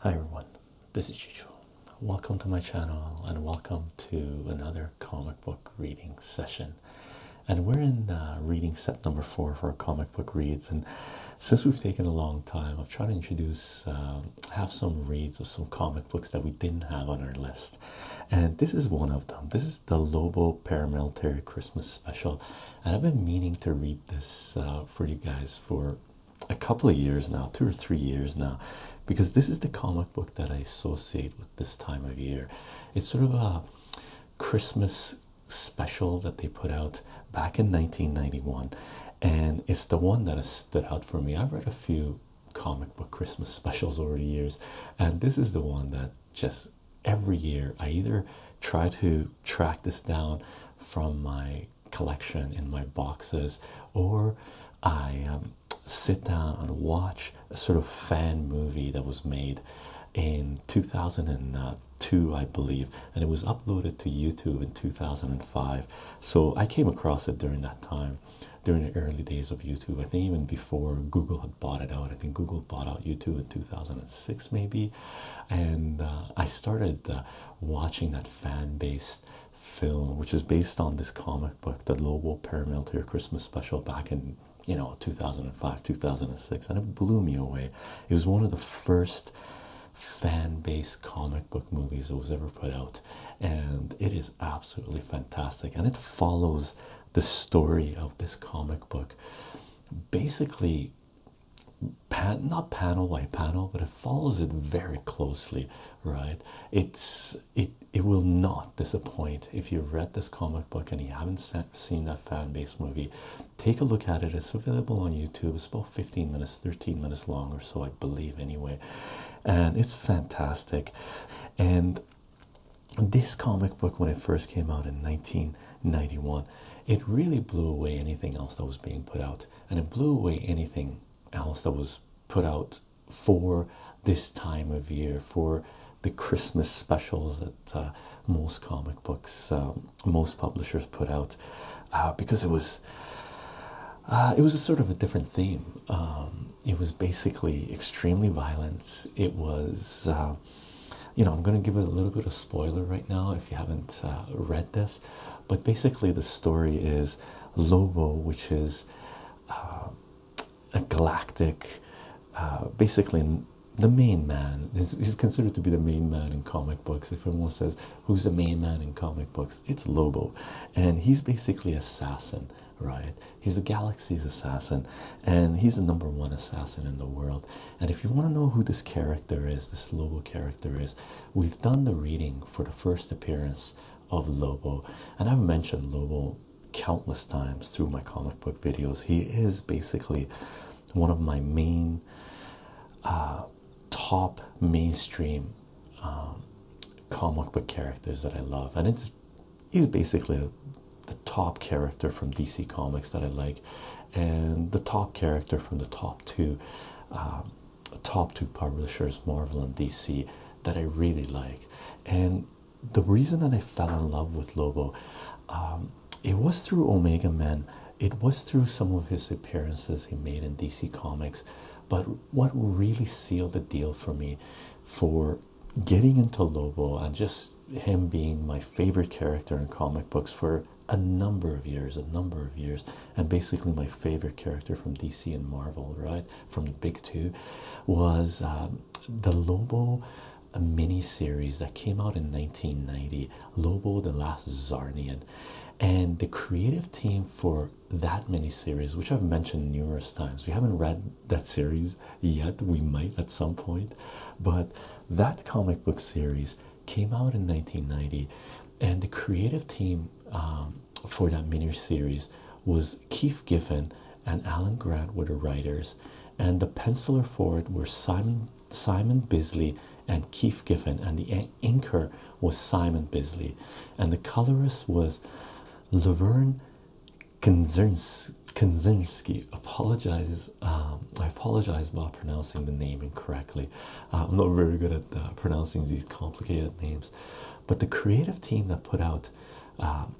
Hi everyone, this is Chicho. Welcome to my channel and welcome to another comic book reading session. And we're in uh, reading set number four for our comic book reads. And since we've taken a long time, I've tried to introduce, um, have some reads of some comic books that we didn't have on our list. And this is one of them. This is the Lobo Paramilitary Christmas Special. And I've been meaning to read this uh, for you guys for a couple of years now, two or three years now, because this is the comic book that I associate with this time of year. It's sort of a Christmas special that they put out back in 1991, and it's the one that has stood out for me. I've read a few comic book Christmas specials over the years, and this is the one that just every year I either try to track this down from my collection in my boxes, or I um, sit down and watch a sort of fan movie that was made in 2002, I believe, and it was uploaded to YouTube in 2005. So I came across it during that time, during the early days of YouTube. I think even before Google had bought it out, I think Google bought out YouTube in 2006, maybe. And uh, I started uh, watching that fan based film, which is based on this comic book, the Lobo Your Christmas special back in you know 2005 2006, and it blew me away. It was one of the first fan based comic book movies that was ever put out, and it is absolutely fantastic. And it follows the story of this comic book basically not panel by panel, but it follows it very closely, right? It's it it will not disappoint if you've read this comic book and you haven't seen that fan base movie. Take a look at it. It's available on YouTube. It's about 15 minutes, 13 minutes long or so, I believe, anyway. And it's fantastic. And this comic book, when it first came out in 1991, it really blew away anything else that was being put out and it blew away anything else that was put out for this time of year for the Christmas specials that uh, most comic books, um, most publishers put out, uh, because it was uh, it was a sort of a different theme. Um, it was basically extremely violent. It was, you know, I'm going to give it a little bit of spoiler right now if you haven't read this, but basically, the story is Lobo, which is uh, a galactic, uh, basically the main man. He's, considered to be the main man in comic books. If everyone says who's the main man in comic books, it's Lobo, and he's basically assassin, right? He's the galaxy's assassin, and he's the number one assassin in the world. And if you want to know who this character is, this Lobo character is, we've done the reading for the first appearance of Lobo, and I've mentioned Lobo countless times through my comic book videos. He is basically one of my main uh, top mainstream um, comic book characters that I love, and it's he's basically the top character from DC Comics that I like, and the top character from the top two. Um, top two publishers, Marvel and DC, that I really liked. And the reason that I fell in love with Lobo, um, it was through Omega Men, it was through some of his appearances he made in DC Comics. But what really sealed the deal for me for getting into Lobo and just him being my favorite character in comic books for a number of years, a number of years, and basically my favorite character from DC and Marvel, right, from the big two, was um, the Lobo mini series that came out in 1990, Lobo the Last Zarnian. And the creative team for that mini series, which I've mentioned numerous times, we haven't read that series yet, we might at some point, but that comic book series came out in 1990, and the creative team um, for that mini series was Keith Giffen and Alan Grant were the writers, and the penciler for it were Simon Simon Bisley and Keith Giffen, and the inker was Simon Bisley, and the colorist was Laverne Kanzinski. Apologizes, um, I apologize about pronouncing the name incorrectly. Uh, I'm not very good at uh, pronouncing these complicated names, but the creative team that put out um,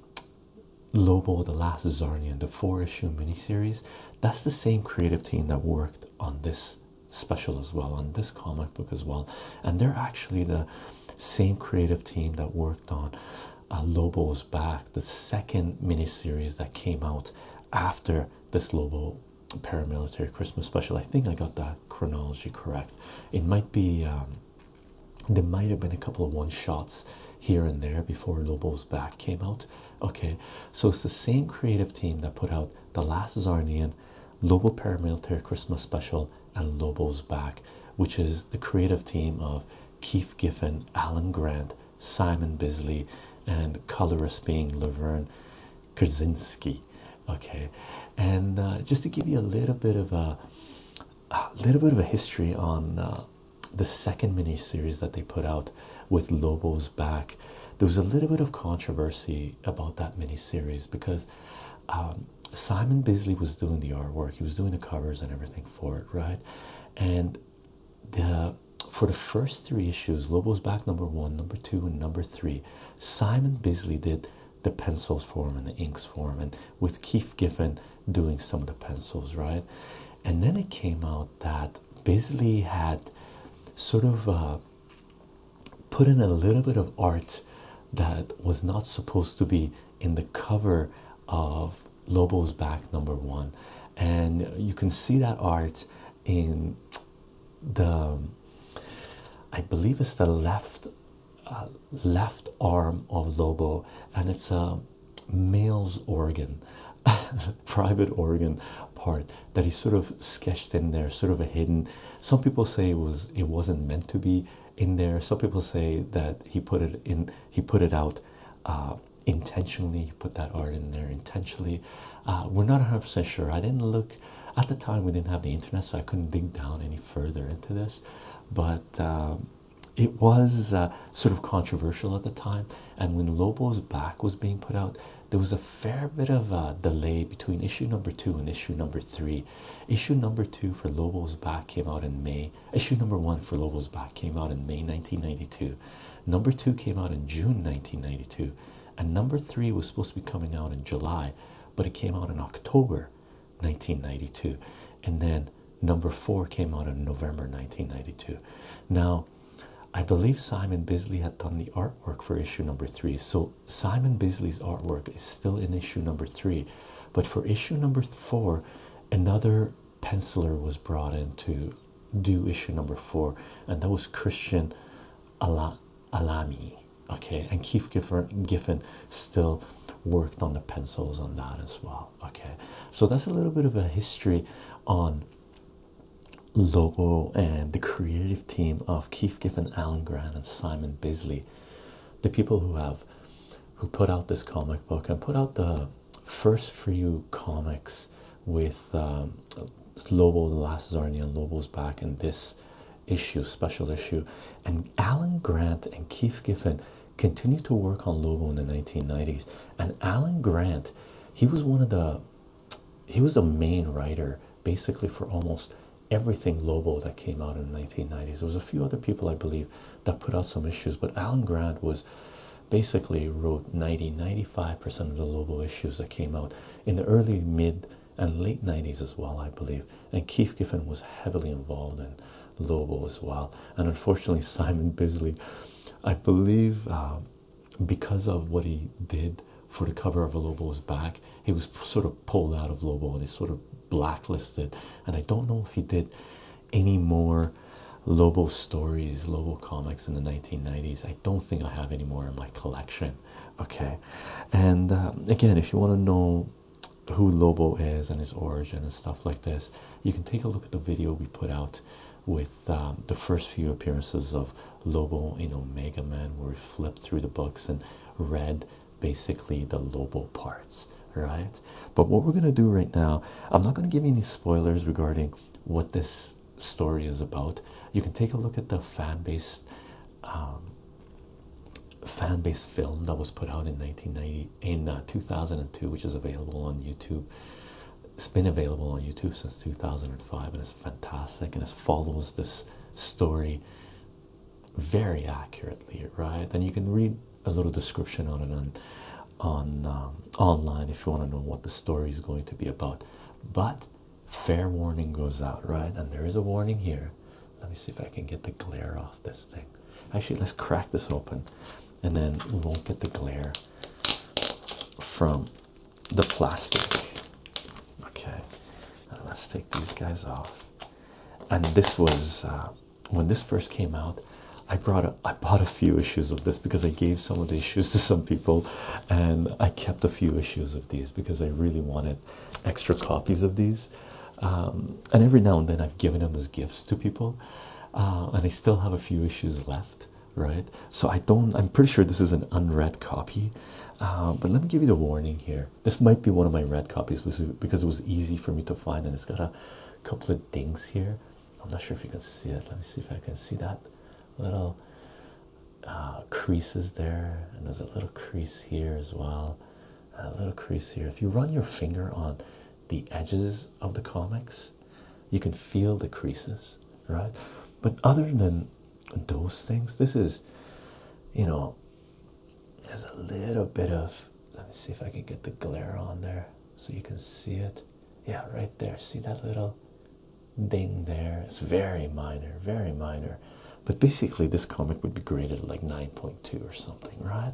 Lobo, The Last Zarnian, the four issue miniseries, that's the same creative team that worked on this special as well, on this comic book as well. And they're actually the same creative team that worked on uh, Lobo's Back, the second miniseries that came out after this Lobo paramilitary Christmas special. I think I got the chronology correct. It might be um, there might have been a couple of one shots here and there before Lobo's Back came out. Okay, so it's the same creative team that put out The Last Zarnian, Lobo Paramilitary Christmas Special, and Lobo's Back, which is the creative team of Keith Giffen, Alan Grant, Simon Bisley, and colorist being Laverne Krasinski. Okay, and uh, just to give you a little bit of a, little bit of a history on uh, the second mini series that they put out with Lobo's back, there was a little bit of controversy about that mini series because um, Simon Bisley was doing the artwork, he was doing the covers and everything for it, right? And the for the first three issues, Lobo's back number one, number two, and number three Simon Bisley did the pencils for him and the inks for him, and with Keith Giffen doing some of the pencils, right? And then it came out that Bisley had sort of uh, put in a little bit of art that was not supposed to be in the cover of Lobo's Back number one, and you can see that art in the I believe it's the left uh, left arm of Lobo, and it's a male's organ, private organ part that he sort of sketched in there, sort of a hidden. Some people say it was it wasn't meant to be in there. Some people say that he put it in, he put it out uh, intentionally. He put that art in there intentionally. Uh, we're not 100% sure. I didn't look at the time we didn't have the internet so i couldn't dig down any further into this but um, it was uh, sort of controversial at the time and when lobo's back was being put out there was a fair bit of a uh, delay between issue number two and issue number three issue number two for lobo's back came out in may issue number one for lobo's back came out in may 1992 number two came out in june 1992 and number three was supposed to be coming out in july but it came out in October 1992, and then number four came out in November 1992. Now, I believe Simon Bisley had done the artwork for issue number three, so Simon Bisley's artwork is still in issue number three, but for issue number four, another penciler was brought in to do issue number four, and that was Christian Alami okay and keith giffen, giffen still worked on the pencils on that as well okay so that's a little bit of a history on lobo and the creative team of keith giffen alan grant and simon bisley the people who have who put out this comic book and put out the first few comics with um, Lobo, the Last Zarnian, Lobo's back, and this issue, special issue. And Alan Grant and Keith Giffen continued to work on Lobo in the 1990s. And Alan Grant, he was one of the he was the main writer basically for almost everything Lobo that came out in the 1990s. There was a few other people I believe that put out some issues, but Alan Grant was basically wrote 90 95% of the Lobo issues that came out in the early mid and late 90s as well, I believe. And Keith Giffen was heavily involved in Lobo as well. And unfortunately, Simon Bisley, I believe, um, because of what he did for the cover of Lobo's back, he was sort of pulled out of Lobo. They sort of blacklisted. And I don't know if he did any more Lobo stories, Lobo comics in the 1990s. I don't think I have any more in my collection okay and uh, again if you want to know who lobo is and his origin and stuff like this you can take a look at the video we put out with um, the first few appearances of lobo in Mega man where we flipped through the books and read basically the lobo parts right but what we're going to do right now i'm not going to give you any spoilers regarding what this story is about you can take a look at the fan base. Um, fan based film that was put out in 1990 in uh, 2002, which is available on YouTube. It's been available on YouTube since 2005, and it's fantastic. And it follows this story very accurately, right? And you can read a little description on it on um, online if you want to know what the story is going to be about. But fair warning goes out, right? And there is a warning here. Let me see if I can get the glare off this thing. Actually, let's crack this open and then we won't get the glare from the plastic. Okay, let's take these guys off. And this was uh, when this first came out. I brought a, I bought a few issues of this because I gave some of the issues to some people, and I kept a few issues of these because I really wanted extra copies of these. Um, and every now and then I've given them as gifts to people. Uh, and I still have a few issues left, right? So I don't, I'm pretty sure this is an unread copy. Uh, but let me give you the warning here. This might be one of my red copies because it was easy for me to find and it's got a couple of dings here. I'm not sure if you can see it. Let me see if I can see that little uh, creases there, and there's a little crease here as well a little crease here. If you run your finger on the edges of the comics, you can feel the creases, right? But other than those things, this is, you know, there's a little bit of. Let me see if I can get the glare on there so you can see it. Yeah, right there. See that little ding there? It's very minor, very minor. But basically, this comic would be graded like 9.2 or something, right?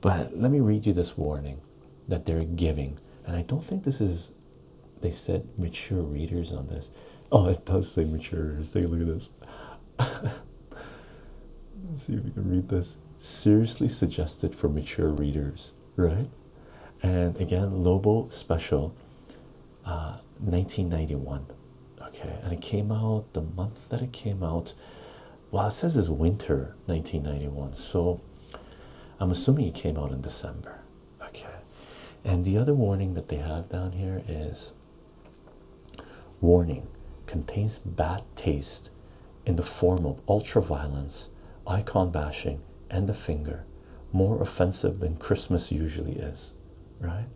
But let me read you this warning that they're giving. And I don't think this is, they said mature readers on this. Oh, it does say mature readers. Take a look at this. see if we can read this. Seriously suggested for mature readers, right? And again, Lobo special uh, 1991 okay and it came out the month that it came out well it says it's winter 1991 so i'm assuming it came out in december okay and the other warning that they have down here is warning contains bad taste in the form of ultra violence, icon bashing and the finger more offensive than christmas usually is right?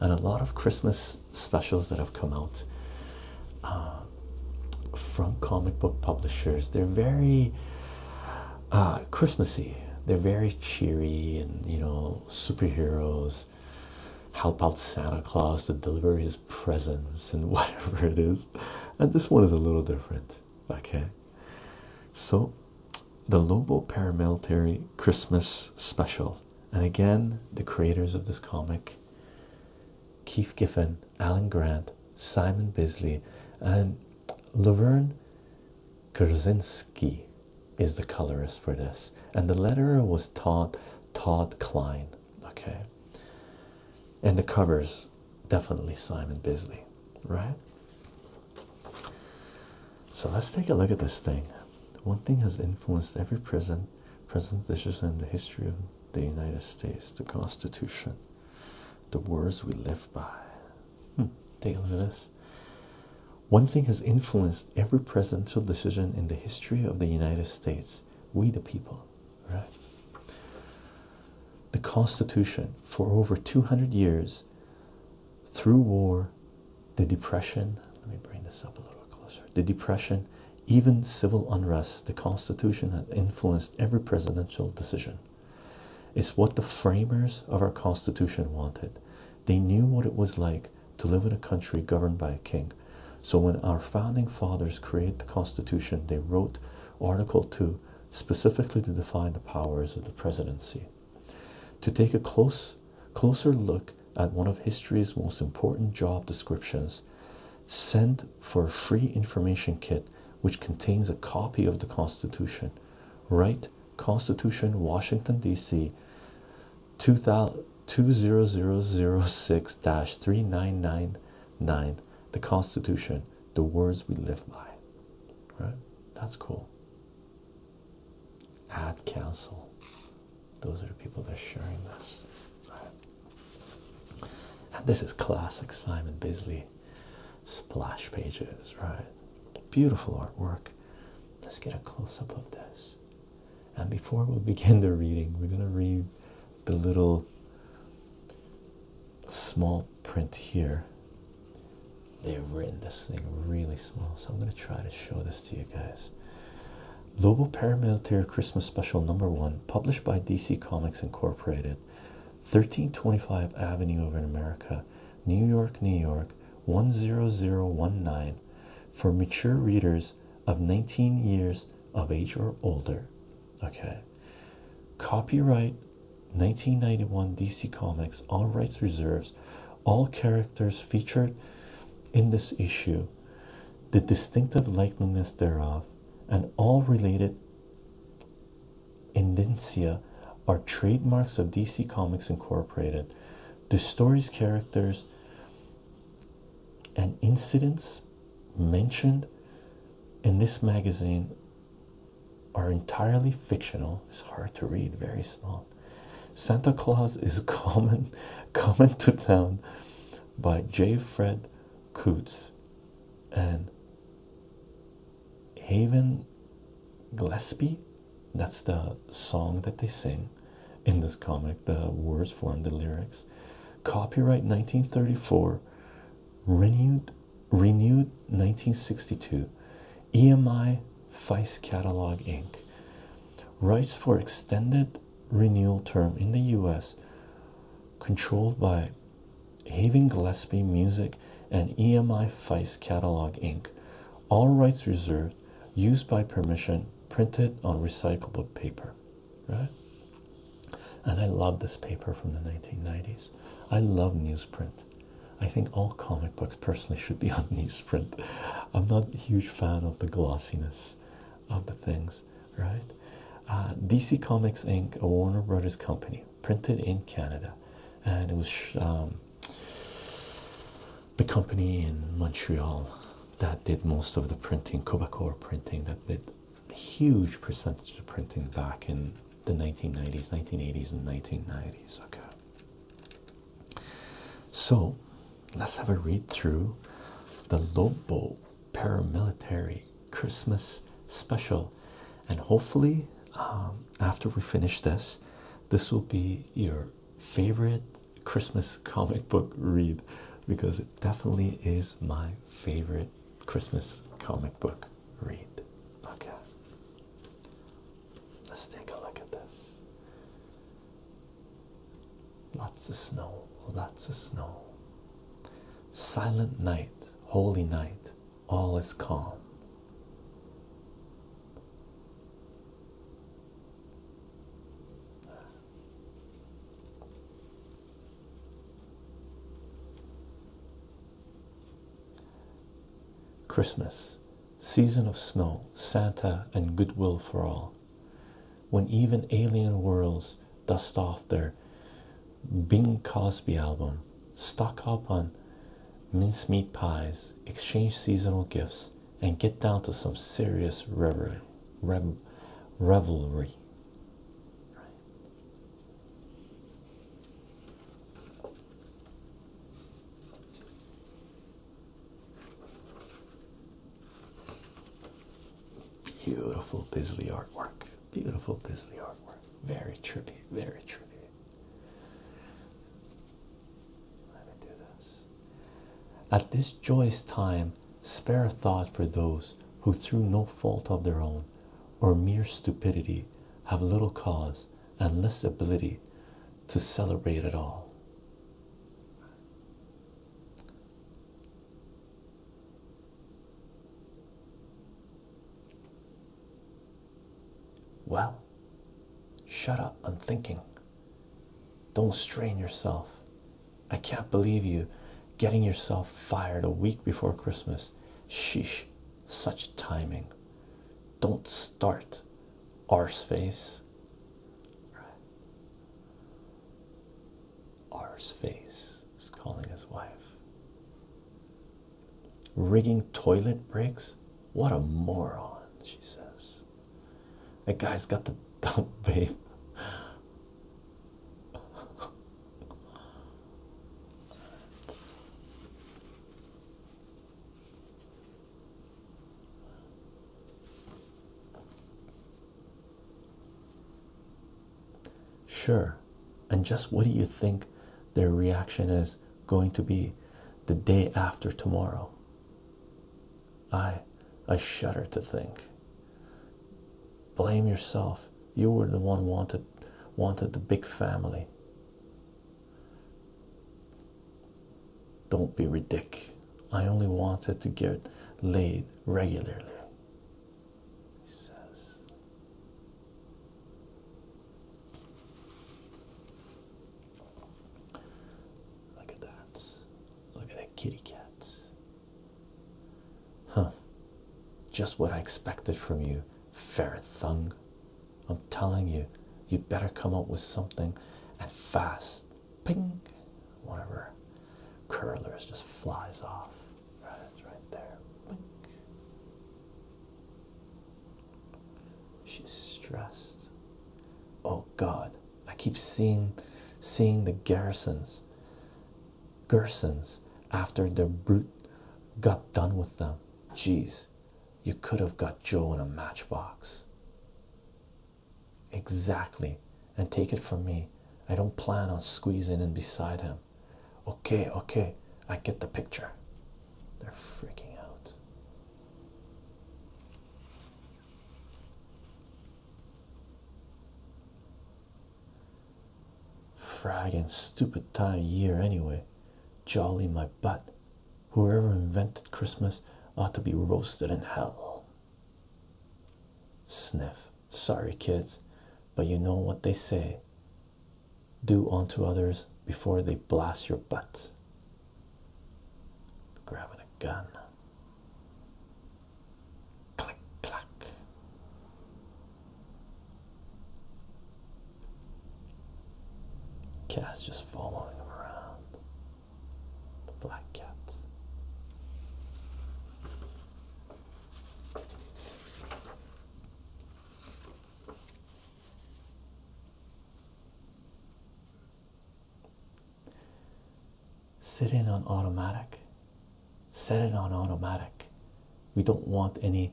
And a lot of Christmas specials that have come out uh, from comic book publishers, they're very uh, Christmassy, they're very cheery, and you know, superheroes help out Santa Claus to deliver his presents and whatever it is. And this one is a little different, okay? So, the Lobo Paramilitary Christmas Special and again, the creators of this comic Keith Giffen, Alan Grant, Simon Bisley, and Laverne Kurzinski is the colorist for this. And the letterer was Todd Todd Klein. Okay. And the covers, definitely Simon Bisley, right? So let's take a look at this thing. One thing has influenced every prison, prison decision in the history of the United States, the Constitution, the words we live by. Hmm, take a look at this. One thing has influenced every presidential decision in the history of the United States. We the people, right? The Constitution for over 200 years through war the Depression. Let me bring this up a little closer. The Depression, even civil unrest, the Constitution had influenced every presidential decision. It's what the framers of our Constitution wanted. They knew what it was like to live in a country governed by a king. So when our founding fathers created the Constitution, they wrote Article 2 specifically to define the powers of the presidency. To take a close Closer look at one of history's most important job descriptions. Send for a free information kit which contains a copy of the Constitution. Write Constitution, Washington, D.C. 20006 3999. The Constitution, the words we live by. Right? That's cool. Ad Council. Those are the people that are sharing this. this is classic Simon Bisley splash pages, right? Beautiful artwork. Let's get a close up of this. And before we begin the reading, we're going to read the little small print here. They've written this thing really small, so I'm going to try to show this to you guys. Lobo Paramilitary Christmas Special Number One, published by DC Comics Incorporated, 1325 Avenue of America, New York, New York, 10019, for mature readers of 19 years of age or older. Okay. Copyright 1991 DC Comics, all rights reserved. All characters featured in this issue, the distinctive likeness thereof, and all related indicia are trademarks of DC Comics Incorporated. The stories, characters, and incidents mentioned in this magazine are entirely fictional. It's hard to read, very small. Santa Claus is common, common to town by J. Fred Coots and Haven Gillespie. That's the song that they sing in this comic. The words form the lyrics. Copyright 1934, renewed, renewed 1962. EMI Feist Catalog Inc rights for extended renewal term in the US controlled by Haven Gillespie Music and EMI Feist Catalog Inc. All rights reserved, used by permission, printed on recyclable paper. Right? And I love this paper from the 1990s. I love newsprint. I think all comic books personally should be on newsprint. I'm not a huge fan of the glossiness of the things, right? Uh, DC Comics Inc., a Warner Brothers company, printed in Canada, and it was um, the company in Montreal that did most of the printing, Quebecor printing, that did a huge percentage of printing back in the 1990s, 1980s, and 1990s. Okay, so let's have a read through the Lobo paramilitary Christmas special, and hopefully, um, after we finish this, this will be your favorite Christmas comic book read because it definitely is my favorite Christmas comic book read. Okay, let's take a look at this. Lots of snow, lots of snow. Silent night, holy night, all is calm. Christmas, season of snow, Santa, and goodwill for all when even alien worlds dust off their Bing Crosby album, stock up on mincemeat pies, exchange seasonal gifts, and get down to some serious revelry. Beautiful Bisley artwork. Beautiful Bisley artwork. Very trippy, very trippy. Let me do this. At this joyous time, spare a thought for those who, through no fault of their own or mere stupidity, have little cause and less ability to celebrate at all. Well, shut up. I'm thinking. Don't strain yourself. I can't believe you getting yourself fired a week before Christmas. Sheesh, such timing. Don't start, arseface. R's face is calling his wife. Rigging toilet breaks? What a moron, she says. That guy's got the dump, babe. Sure, and just what do you think their reaction is going to be the day after tomorrow? I I shudder to think. Blame yourself. You were the one wanted wanted the big family. Don't be ridic. I only wanted to get laid regularly. He says. Look at that. Look at that kitty cat. Huh. Just what I expected from you, fair thung. I'm telling you, you better come up with something and fast. Pink, one of her curlers just flies off. Right, it's right there. Ping. She's stressed. Oh God, I keep seeing, seeing the garrisons, Gersons after the brute got done with them. Jeez, you could have got Joe in a matchbox. Exactly. And take it from me. I don't plan on squeezing in beside him. Okay, okay. I get the picture. They're freaking out. Friggin' stupid time of year anyway. Jolly my butt. Whoever invented Christmas ought to be roasted in hell. Sniff. Sorry, kids, but you know what they say do unto others before they blast your butt. Grabbing a gun. Click, clack. Cat's just following him around. Black Cat. Sit in on automatic. Set it on automatic. We don't want any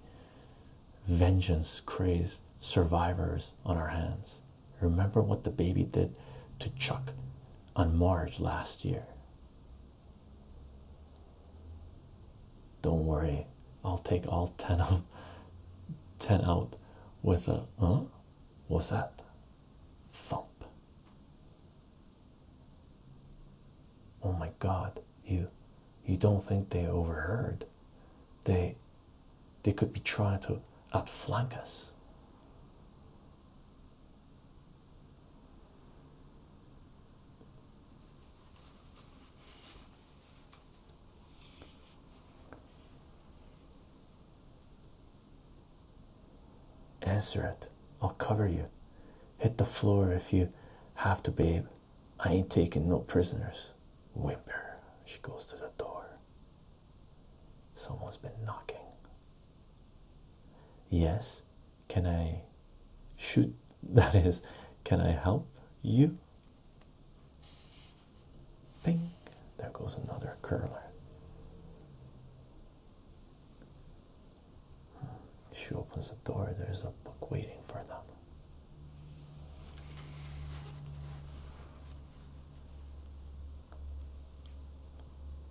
vengeance crazed survivors on our hands. Remember what the baby did to Chuck on March last year. Don't worry, I'll take all 10 of 10 out with a What's that? Thump. Oh my god, you you don't think they overheard. They they could be trying to outflank us. Answer it. I'll cover you. Hit the floor if you have to, babe. I ain't taking no prisoners. Whimper. She goes to the door. Someone's been knocking. Yes, can I shoot? That is, can I help you? Ping, there goes another curler. Hmm, she opens the door, there's a book waiting for them.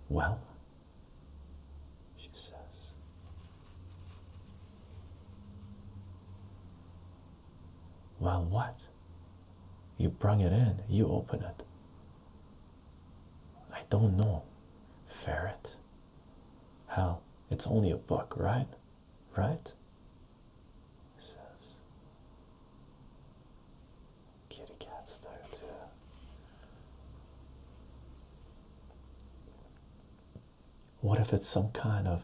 Well, she says. Well, what? You bring it in, you open it. I don't know. Ferret. Hell, it's only a book, right? Right? He says kitty cats there too. What if it's some kind of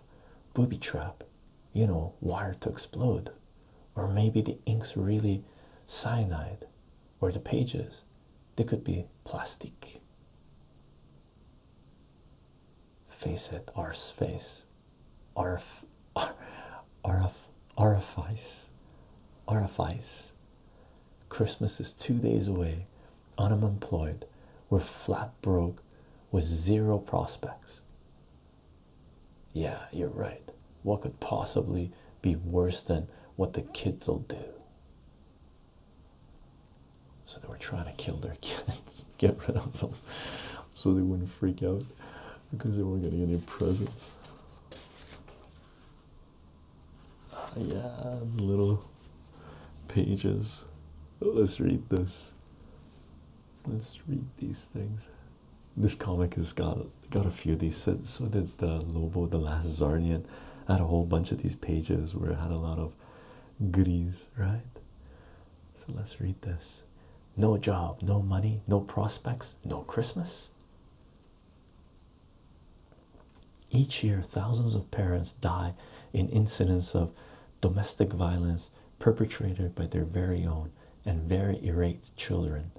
booby trap, you know, wired to explode? Or maybe the ink's really cyanide, or the pages, they could be plastic. Face it, our space, our, our, Orifice, orifice. Christmas is two days away. I'm unemployed. We're flat broke with zero prospects. Yeah, you're right. What could possibly be worse than what the kids will do? So they were trying to kill their kids, get rid of them, so they wouldn't freak out because they weren't getting any presents yeah, little pages. Let's read this. Let's read these things. This comic has got got a few of these. So, so did uh, Lobo, the Last Zarnian. I had a whole bunch of these pages where it had a lot of goodies, right? So let's read this. No job, no money, no prospects, no Christmas. Each year, thousands of parents die in incidents of domestic violence perpetrated by their very own and very irate children.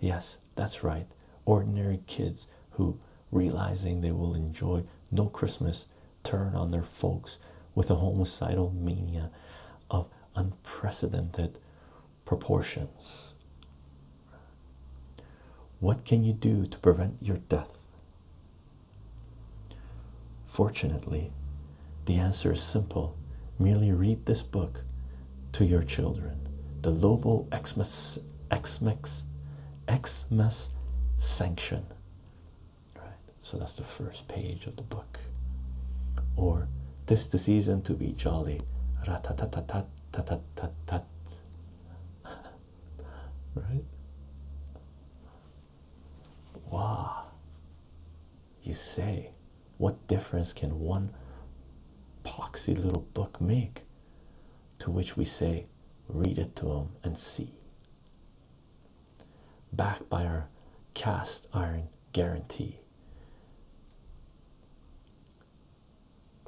Yes, that's right, ordinary kids who, realizing they will enjoy no Christmas, turn on their folks with a homicidal mania of unprecedented proportions. What can you do to prevent your death? Fortunately, the answer is simple. Merely read this book to your children. The Lobo Xmas, Xmas, Xmas Sanction. so that's the first page of the book. Or this the season to be jolly tat tat tat tat right wow you say what difference can one poxy little book make to which we say read it to him and see backed by our cast iron guarantee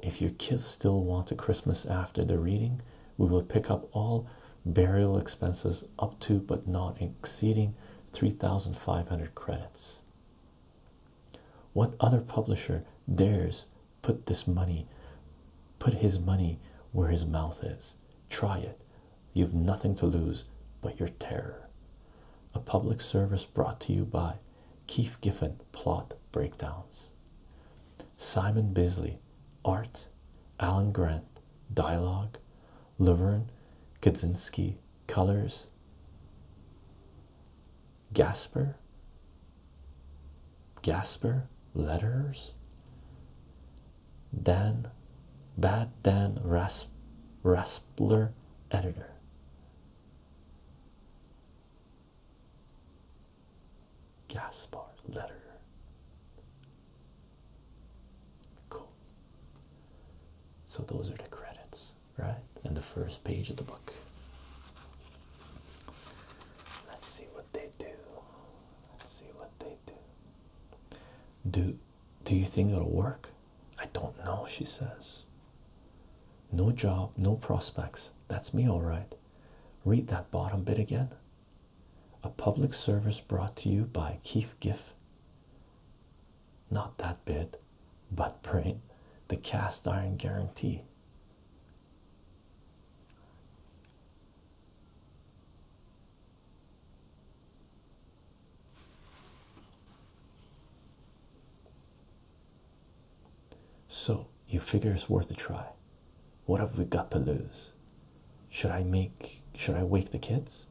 if your kids still want a Christmas after the reading, we will pick up all burial expenses up to but not exceeding 3,500 credits. What other publisher dares put this money, put his money where his mouth is? Try it. You've nothing to lose but your terror. A public service brought to you by Keith Giffen plot breakdowns. Simon Bisley art. Alan Grant dialogue. Laverne Kaczynski colors. Gasper. Gasper letters. Dan Bad Dan Rasp Raspler editor. Gaspar letter. Cool. So those are the credits, right? And the first page of the book. Let's see what they do. Let's see what they do. Do do you think it'll work? I don't know, she says. No job, no prospects. That's me, all right. Read that bottom bit again. A public service brought to you by Keith Giff. Not that bit, but brain. The cast iron guarantee. So you figure it's worth a try. What have we got to lose? Should I make should I wake the kids?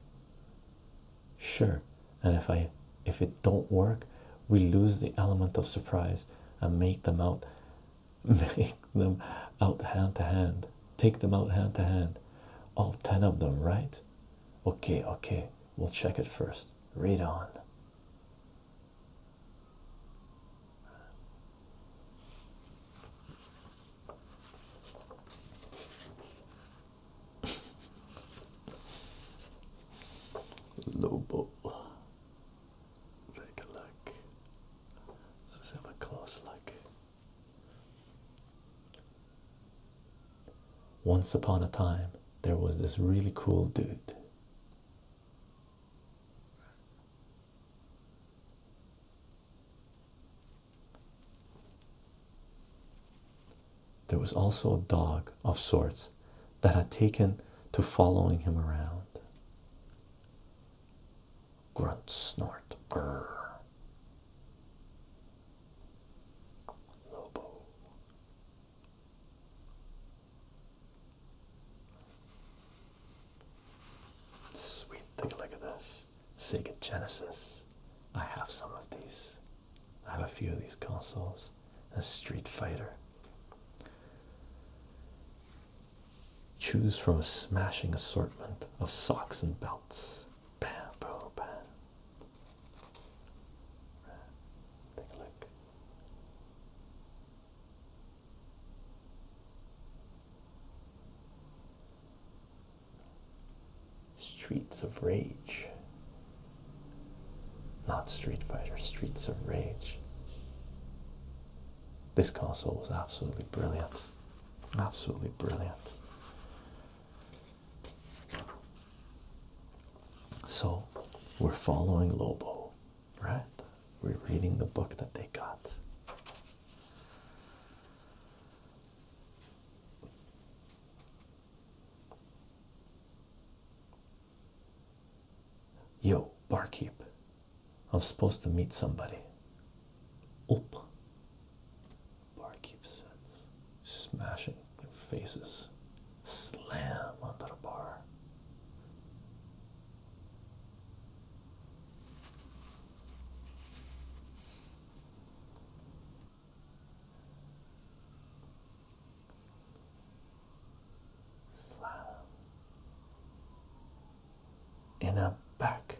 Sure. And if I if it don't work, we lose the element of surprise and make them out make them out hand to hand. Take them out hand to hand. All ten of them, right? Okay, okay. We'll check it first. Read on. Lobo. Take a look. Let's have a close look. Once upon a time, there was this really cool dude. There was also a dog of sorts that had taken to following him around. Grunt, snort, grr. Lobo. Sweet, take a look at this. Sega Genesis. I have some of these. I have a few of these consoles. A Street Fighter. Choose from a smashing assortment of socks and belts. Bam, bro, bam. Take a look. Streets of Rage. Not Street Fighter, Streets of Rage. This console was absolutely brilliant. Absolutely brilliant. So we're following Lobo right? We're reading the book that they got. Yo, barkeep. I'm supposed to meet somebody. Oop. Barkeep says, smashing their faces slam onto the bar. Slam. In a back,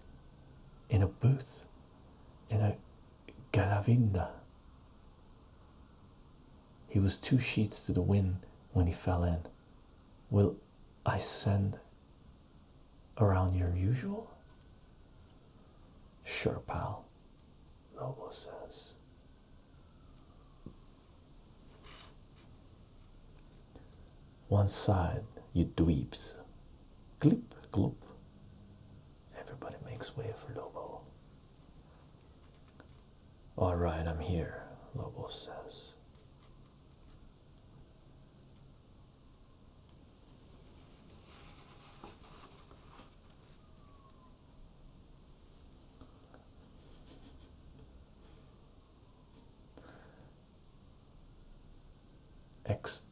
in a booth, in a garavinda, he was two sheets to the wind when he fell in. Will I send around your usual? Sure, pal, Lobos says. One side, you dweebs. clip, glop. Everybody makes way for Lobos. All right, I'm here, Lobel says.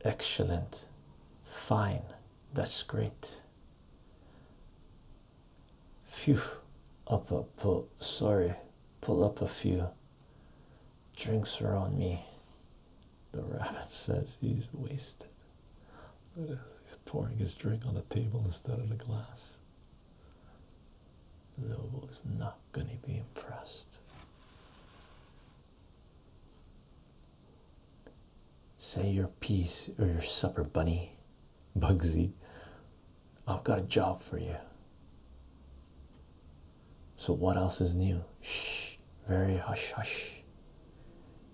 excellent, fine, that's great. Phew, up, a pull. Sorry, pull up a few. Drinks are on me. The rabbit says he's wasted. He's pouring his drink on the table instead of the glass. Lobo is not going to be impressed. Say your piece or your supper, bunny, Bugsy, I've got a job for you. So, what else is new? Shh, very hush hush.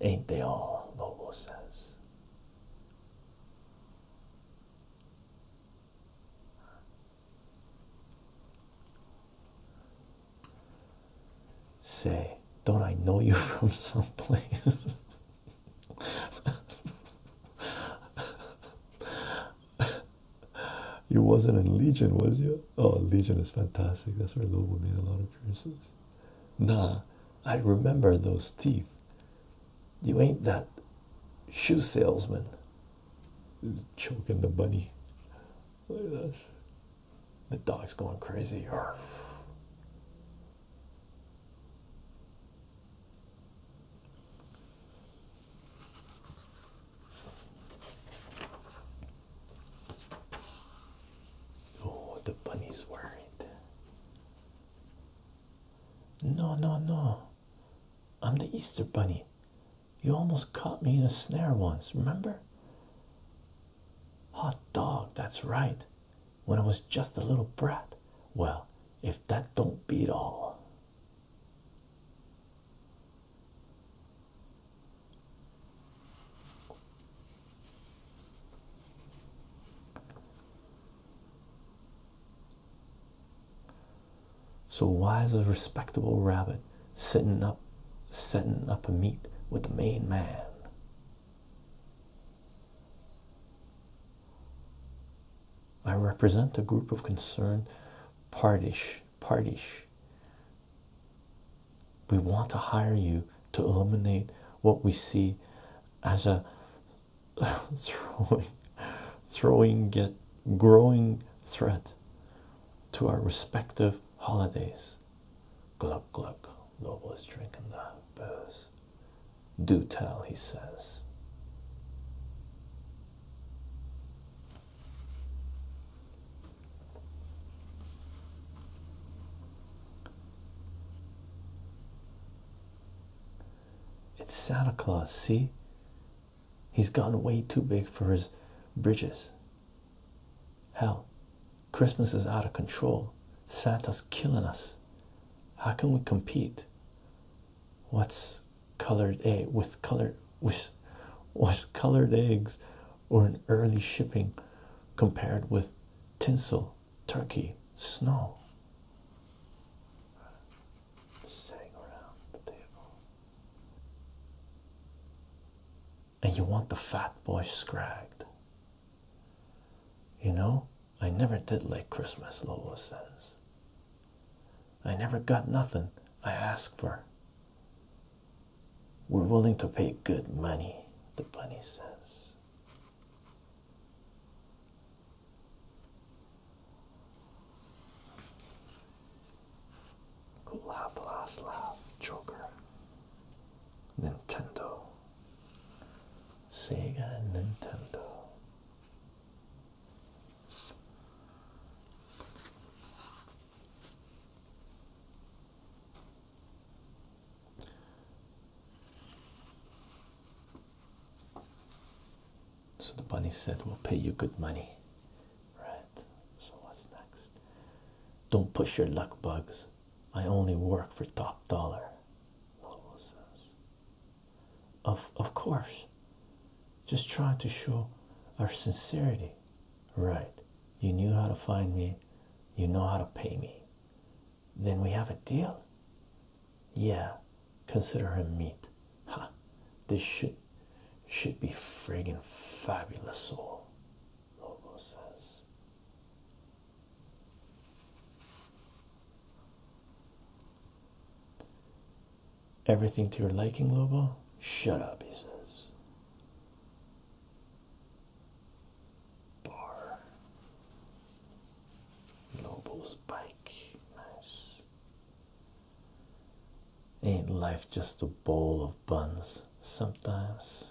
Ain't they all? Bobo says. Say, don't I know you from someplace? you wasn't in Legion, was you? Oh, Legion is fantastic. That's where Lobo made a lot of appearances. Nah, I remember those teeth. You ain't that shoe salesman. He's choking the bunny. Look at this. The dog's going crazy. Oh, the bunny's worried. No, no, no. I'm the Easter bunny. You almost caught me in a snare once, remember? Hot dog, that's right when I was just a little brat. Well, if that don't beat all. So why is a respectable rabbit sitting up setting up a meet with the main man? I represent a group of concerned parties. Parties. We want to hire you to eliminate what we see as a growing threat to our respective holidays. Glug glug. Lobo is drinking that booze. Do tell, he says. It's Santa Claus, see? He's gotten way too big for his bridges. Hell, Christmas is out of control. Santa's killing us. How can we compete? what's colored egg with colored was was colored eggs or an early shipping compared with tinsel turkey snow and you want the fat boy scragged you know I never did like Christmas, Lobo says. I never got nothing I asked for. We're willing to pay good money, the bunny says. Who laughed laugh? Joker. Nintendo. Sega and Nintendo. So the bunny said, We'll pay you good money. Right. So what's next? Don't push your luck, bugs. I only work for top dollar. Of of course. Just trying to show our sincerity. Right. You knew how to find me. You know how to pay me. Then we have a deal. Yeah. Consider him meat. Ha. This should should be friggin' fabulous soul. Lobo says. Everything to your liking, Lobo? Shut up, he says. Bar. Lobo's bike. Nice. Ain't life just a bowl of buns sometimes?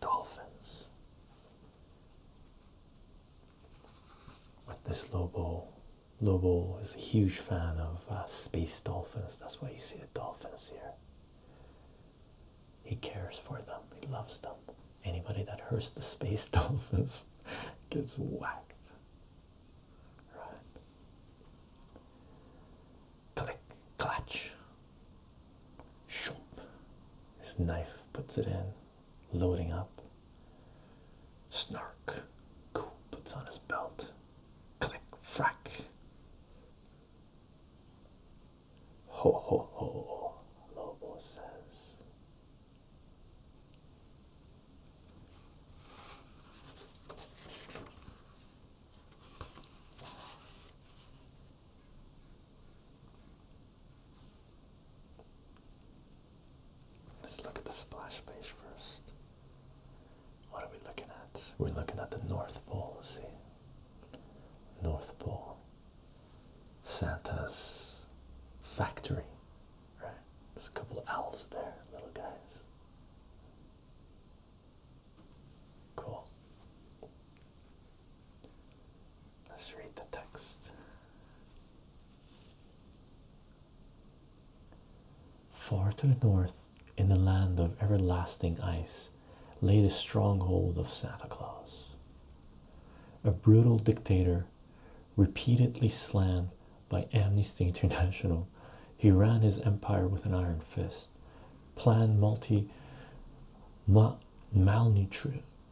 Dolphins. But this Lobo, Lobo is a huge fan of uh, space dolphins. That's why you see the dolphins here. He cares for them. He loves them. Anybody that hurts the space dolphins gets whacked. Right? Click, clutch. Shoop. His knife puts it in, loading up. Snark. puts on his belt. Click, frack. Ho ho ho, Lobo says. Let's look at the splash page first. What are we looking at? We're looking at the North Pole, see? North Pole. Santa's factory, right? There's a couple of elves there, little guys. Cool. Let's read the text. Far to the north, in the land of everlasting ice, lay the stronghold of Santa Claus. A brutal dictator repeatedly slammed by Amnesty International. He ran his empire with an iron fist, planned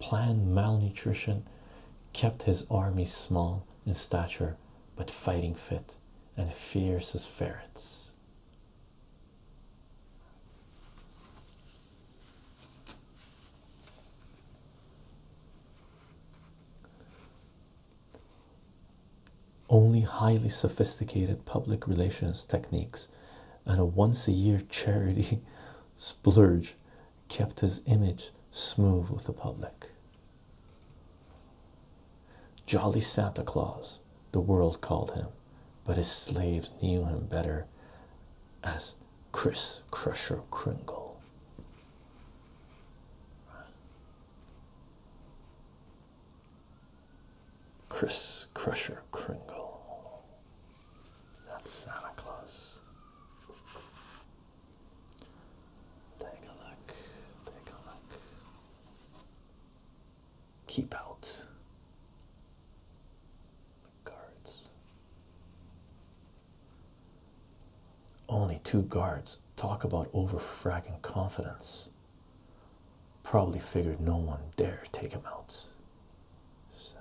malnutrition, kept his army small in stature but fighting fit and fierce as ferrets. Only highly sophisticated public relations techniques and a once a year charity splurge kept his image smooth with the public. Jolly Santa Claus, the world called him, but his slaves knew him better as Chris Crusher Kringle. Chris Crusher Kringle. That's Santa Claus. Take a look. Take a look. Keep out the guards. Only two guards. Talk about over fragging confidence. Probably figured no one dare take him out. Says.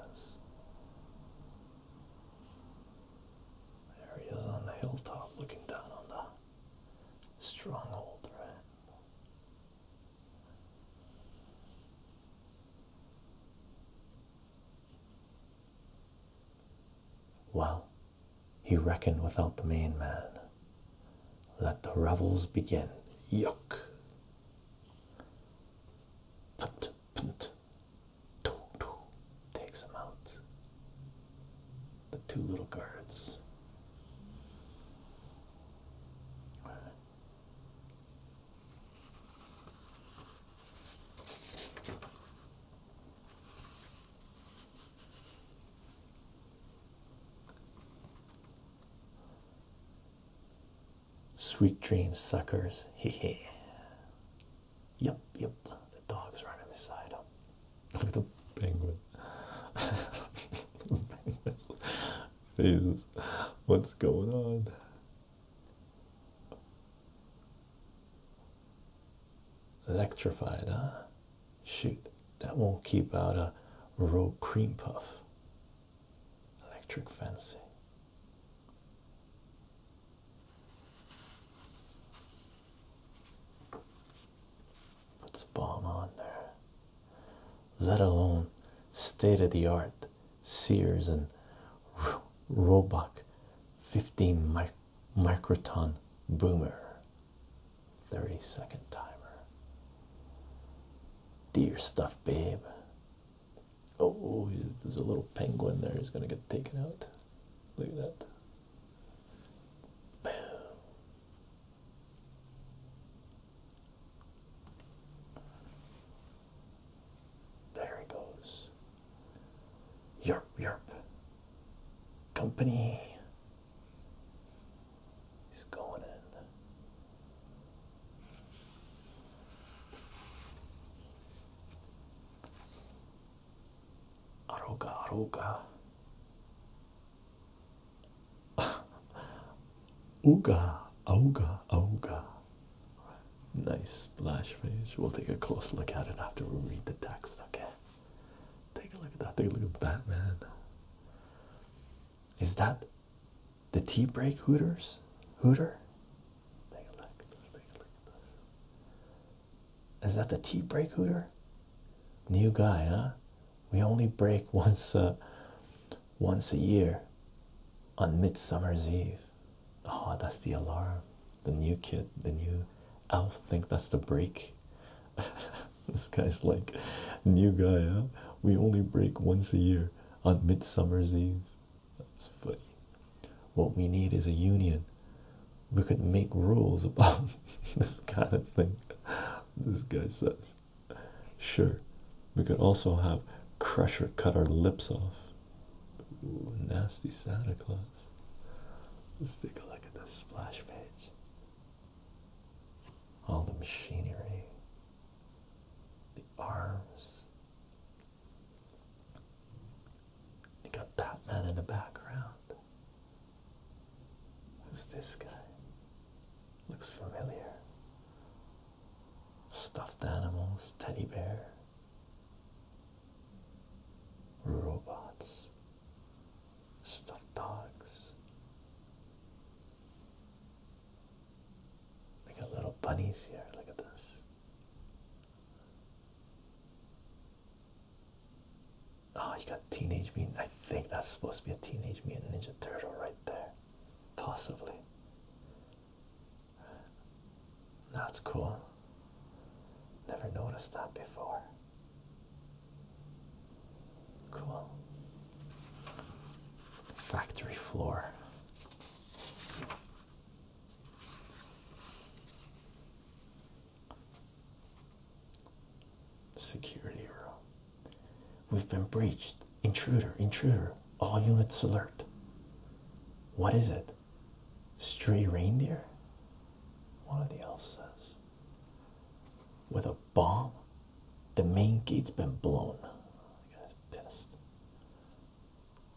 There he is on the hilltop looking down on the stronghold, right? Well, he reckoned without the main man. Let the revels begin. Yuck. Punt, punt. Too, too. Takes him out. The two little guards. Sweet dreams, suckers. Hee hee. Yep, yep. The dog's running beside them. Look at the penguin. Jesus, what's going on? Electrified, huh? Shoot, that won't keep out a roe cream puff. Electric fancy. Puts bomb on there. Let alone state of the art Sears and Roebuck 15 mic microton boomer 30 second timer dear stuff babe oh there's a little penguin there he's gonna get taken out look at that there he goes Yerp, yerp. Company. He's going in. Aroga, aroga. Ooga, ooga, ooga. Nice splash page. We'll take a close look at it after we read the text. Okay. Take a look at that. Take a look at Batman. Is that the tea break hooters? Hooter? Take a look. take a look at this. Is that the tea break hooter? New guy, huh? We only break once uh once a year on Midsummer's Eve. Oh, that's the alarm. The new kid, the new elf, think that's the break. this guy's like, new guy, We only break once a year on Midsummer's Eve. That's funny. What we need is a union. We could make rules about this kind of thing. This guy says, sure. We could also have Crusher cut our lips off nasty Santa Claus. Let's take a look at the splash page. All the machinery, the arms. They got Batman in the background. Who's this guy? Looks familiar. Stuffed animals, teddy bear robots, stuffed dogs. We got little bunnies here. Look at this. Oh, you got Teenage Mutant. I think that's supposed to be a Teenage Mutant Ninja Turtle right there. Possibly. That's cool. Never noticed that before. Cool. Factory floor. Security room. We've been breached. Intruder, intruder. All units alert. What is it? Stray reindeer? One of the elves says. With a bomb? The main gate's been blown. The guy's pissed.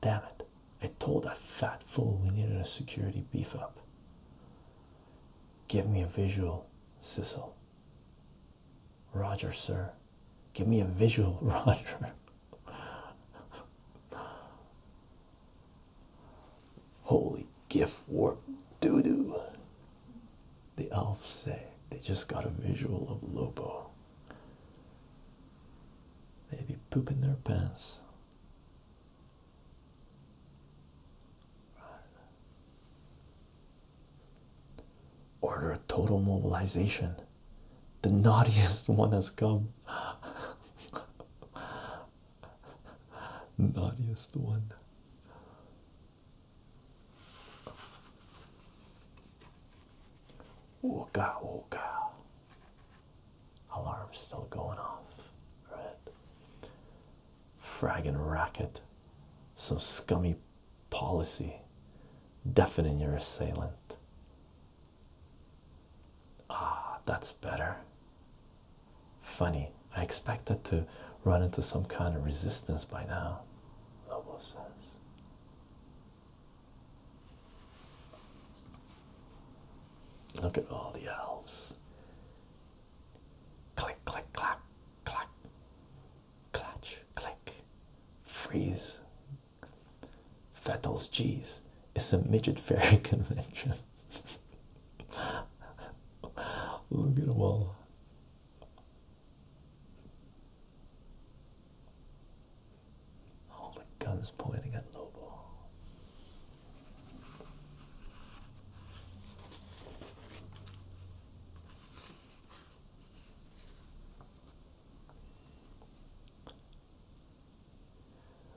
Damn it. I told that fat fool we needed a security beef up. Give me a visual, Sissel. Roger, sir. Give me a visual, Roger. Holy gift warp doo doo. The elves say they just got a visual of Lobo. They be pooping their pants. Order a total mobilization. The naughtiest one has come. Naughtiest one. Wooga wooga. Alarm's still going off. Right. Fragging racket. Some scummy policy. Deafening your assailant. Ah, that's better. Funny, I expected to run into some kind of resistance by now. Noble says. Look at all the elves. Click, click, clack, clack, clutch, click, freeze. Fettles, jeez, it's a midget fairy convention. Look at them all. Oh my god, pointing at Lobo.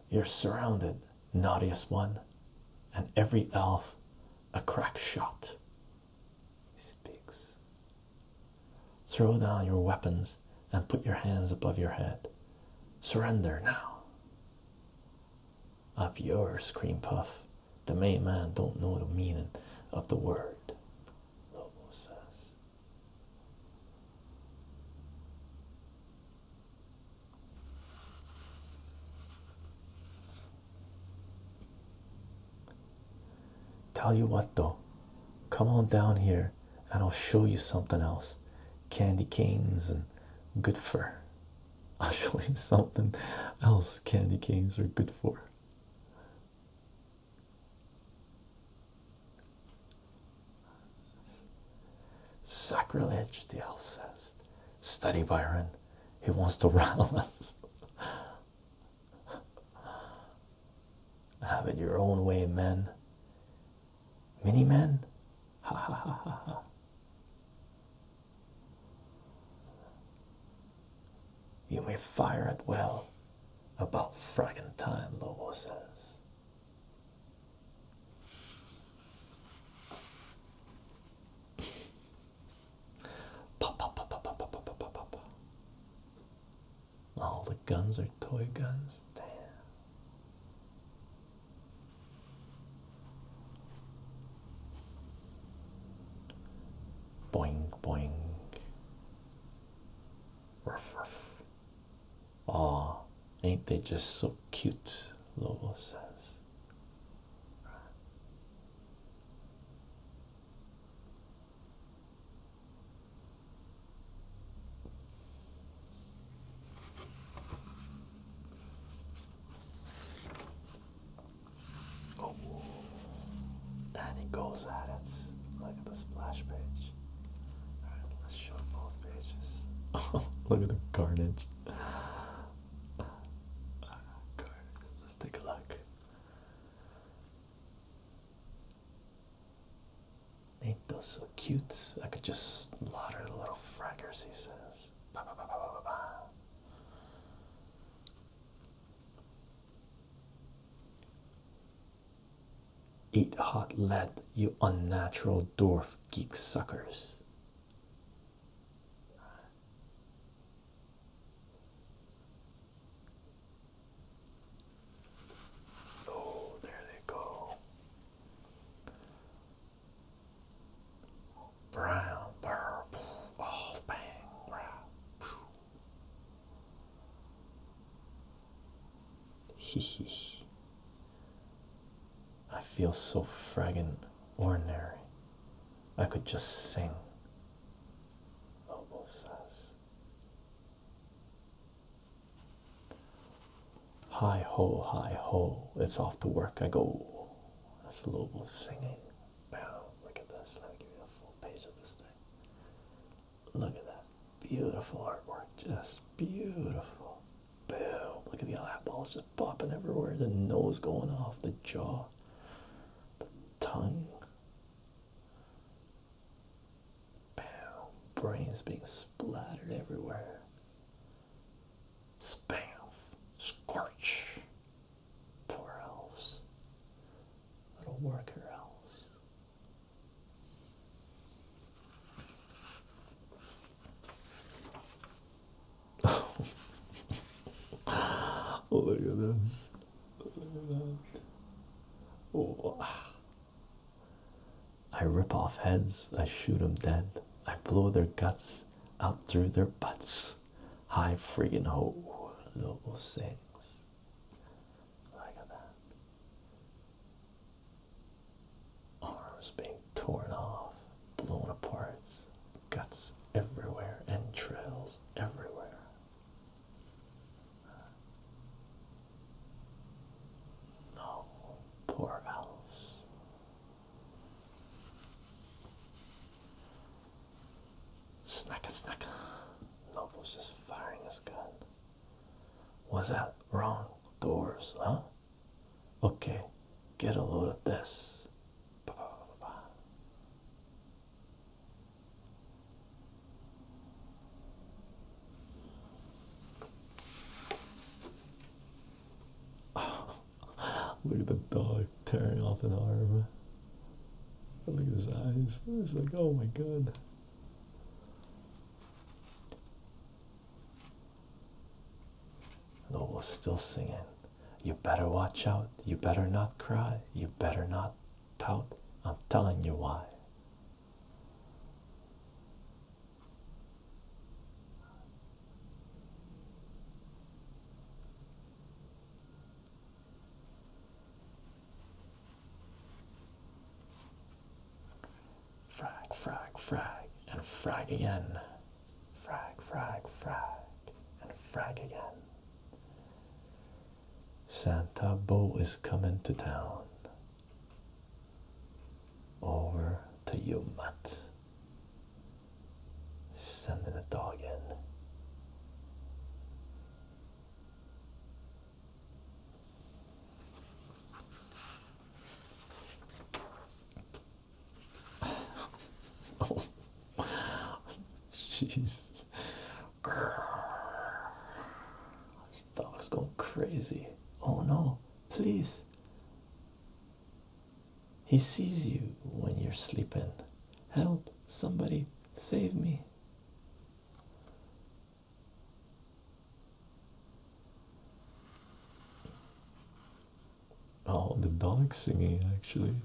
You're surrounded, naughtiest one, and every elf a crack shot. He speaks. Throw down your weapons and put your hands above your head. Surrender now. Up yours, Cream Puff. The main man don't know the meaning of the word. Lobo says. Tell you what, though, come on down here and I'll show you something else candy canes and good for. I'll show you something else candy canes are good for. Sacrilege, the elf says. Study Byron, he wants to rattle us. Have it your own way, men. Many men? Ha ha ha ha ha. You may fire at will about fragging time, Lobo says pop, pop, pop, pop, pop, pop, pop, pop, pop. All the guns are toy guns. Damn. Boing, boing. Ruff, ruff. Aw, ain't they just so cute? Lobo says. Oh, and it goes at it. Look at the splash page. All right, let's show both pages. Look at the carnage. Let's take a look. Ain't those so cute? I could just slaughter the little frackers. he says. Eat hot lead, you unnatural dwarf geek suckers. Oh, there they go. Brown, purple, oh, bang, brown. Hee hee. I feel so fraggin' ordinary. I could just sing. Lobo Hi ho, hi ho, it's off to work I go. That's Lobo singing. Wow, look at this. Let me give you a full page of this thing. Look at that. Beautiful artwork. Just beautiful. Boom! Look at the eyeballs just popping everywhere. The nose going off, the jaw, the tongue. Boom! Brains being splattered everywhere. Spam! Scorch! Poor elves. Little worker elves. Oh my goodness! Look at that. Oh. I rip off heads, I shoot 'em dead, I blow their guts out through their butts. High friggin' ho, little things. Look at that. Arms being torn off, blown apart, guts everywhere, entrails everywhere. No, poor elves. Snacka, snacka. Noble's just firing his gun. Was that wrong doors, huh? Okay, get a load of this. look at the dog tearing off an arm. Look at his eyes. It's like, oh my god. Though was still singing, You better watch out, you better not cry, you better not pout, I'm telling you why. Frag, frag, frag, and frag again. Frag, frag, frag, and frag again. Santa Bo is coming to town. Over to you, Matt. Sending a dog in oh, Jesus! dog's going crazy. Oh no, please. He sees you when you're sleeping. Help, somebody, save me. Oh, the dog singing actually.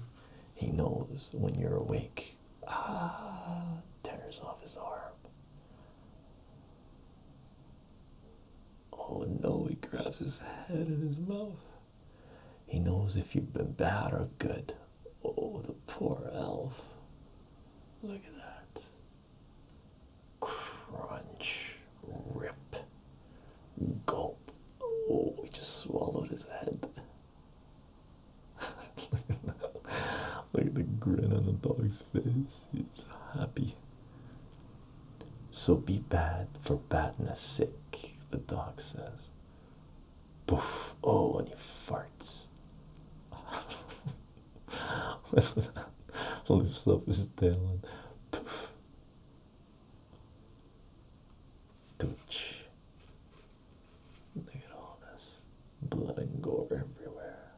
He knows when you're awake. Ah, tears off his arm. Oh no, he grabs his head in his mouth. He knows if you've been bad or good. Oh, the poor elf. Look at that crunch, rip, gulp. Oh, he just swallowed his head. Look at Look at the grin on the dog's face. He's happy. So be bad for badness sake, the dog says. Poof. Oh, and he farts. Lifts up his tail and poof. Dutch. Look at all this blood and gore everywhere.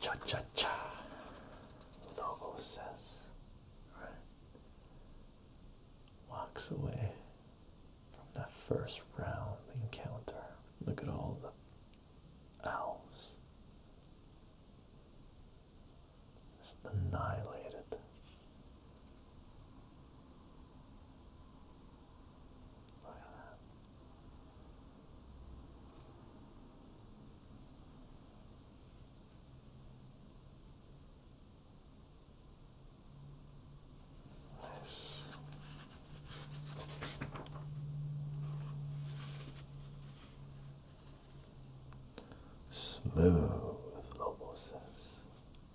Cha cha cha. Logo says, right? Walks away from that first round encounter. Look at all the elves just annihilated. Look that. Nice. Smooth, Lobo says.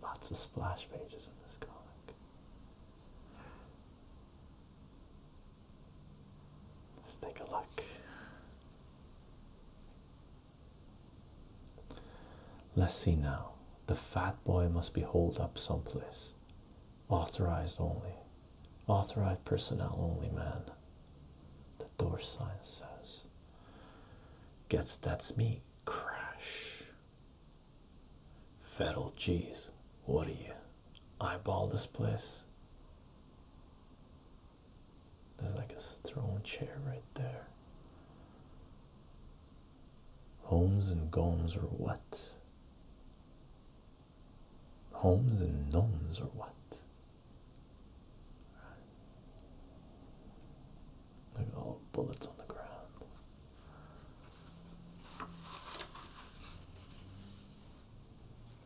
Lots of splash pages in this comic. Let's take a look. Let's see now. The fat boy must be holed up someplace authorized only authorized personnel only man the door sign says gets that's me crash federal jeez, what are you eyeball this place there's like a throne chair right there Homes and gomes or what? homes and nuns or what? Look all bullets on the ground.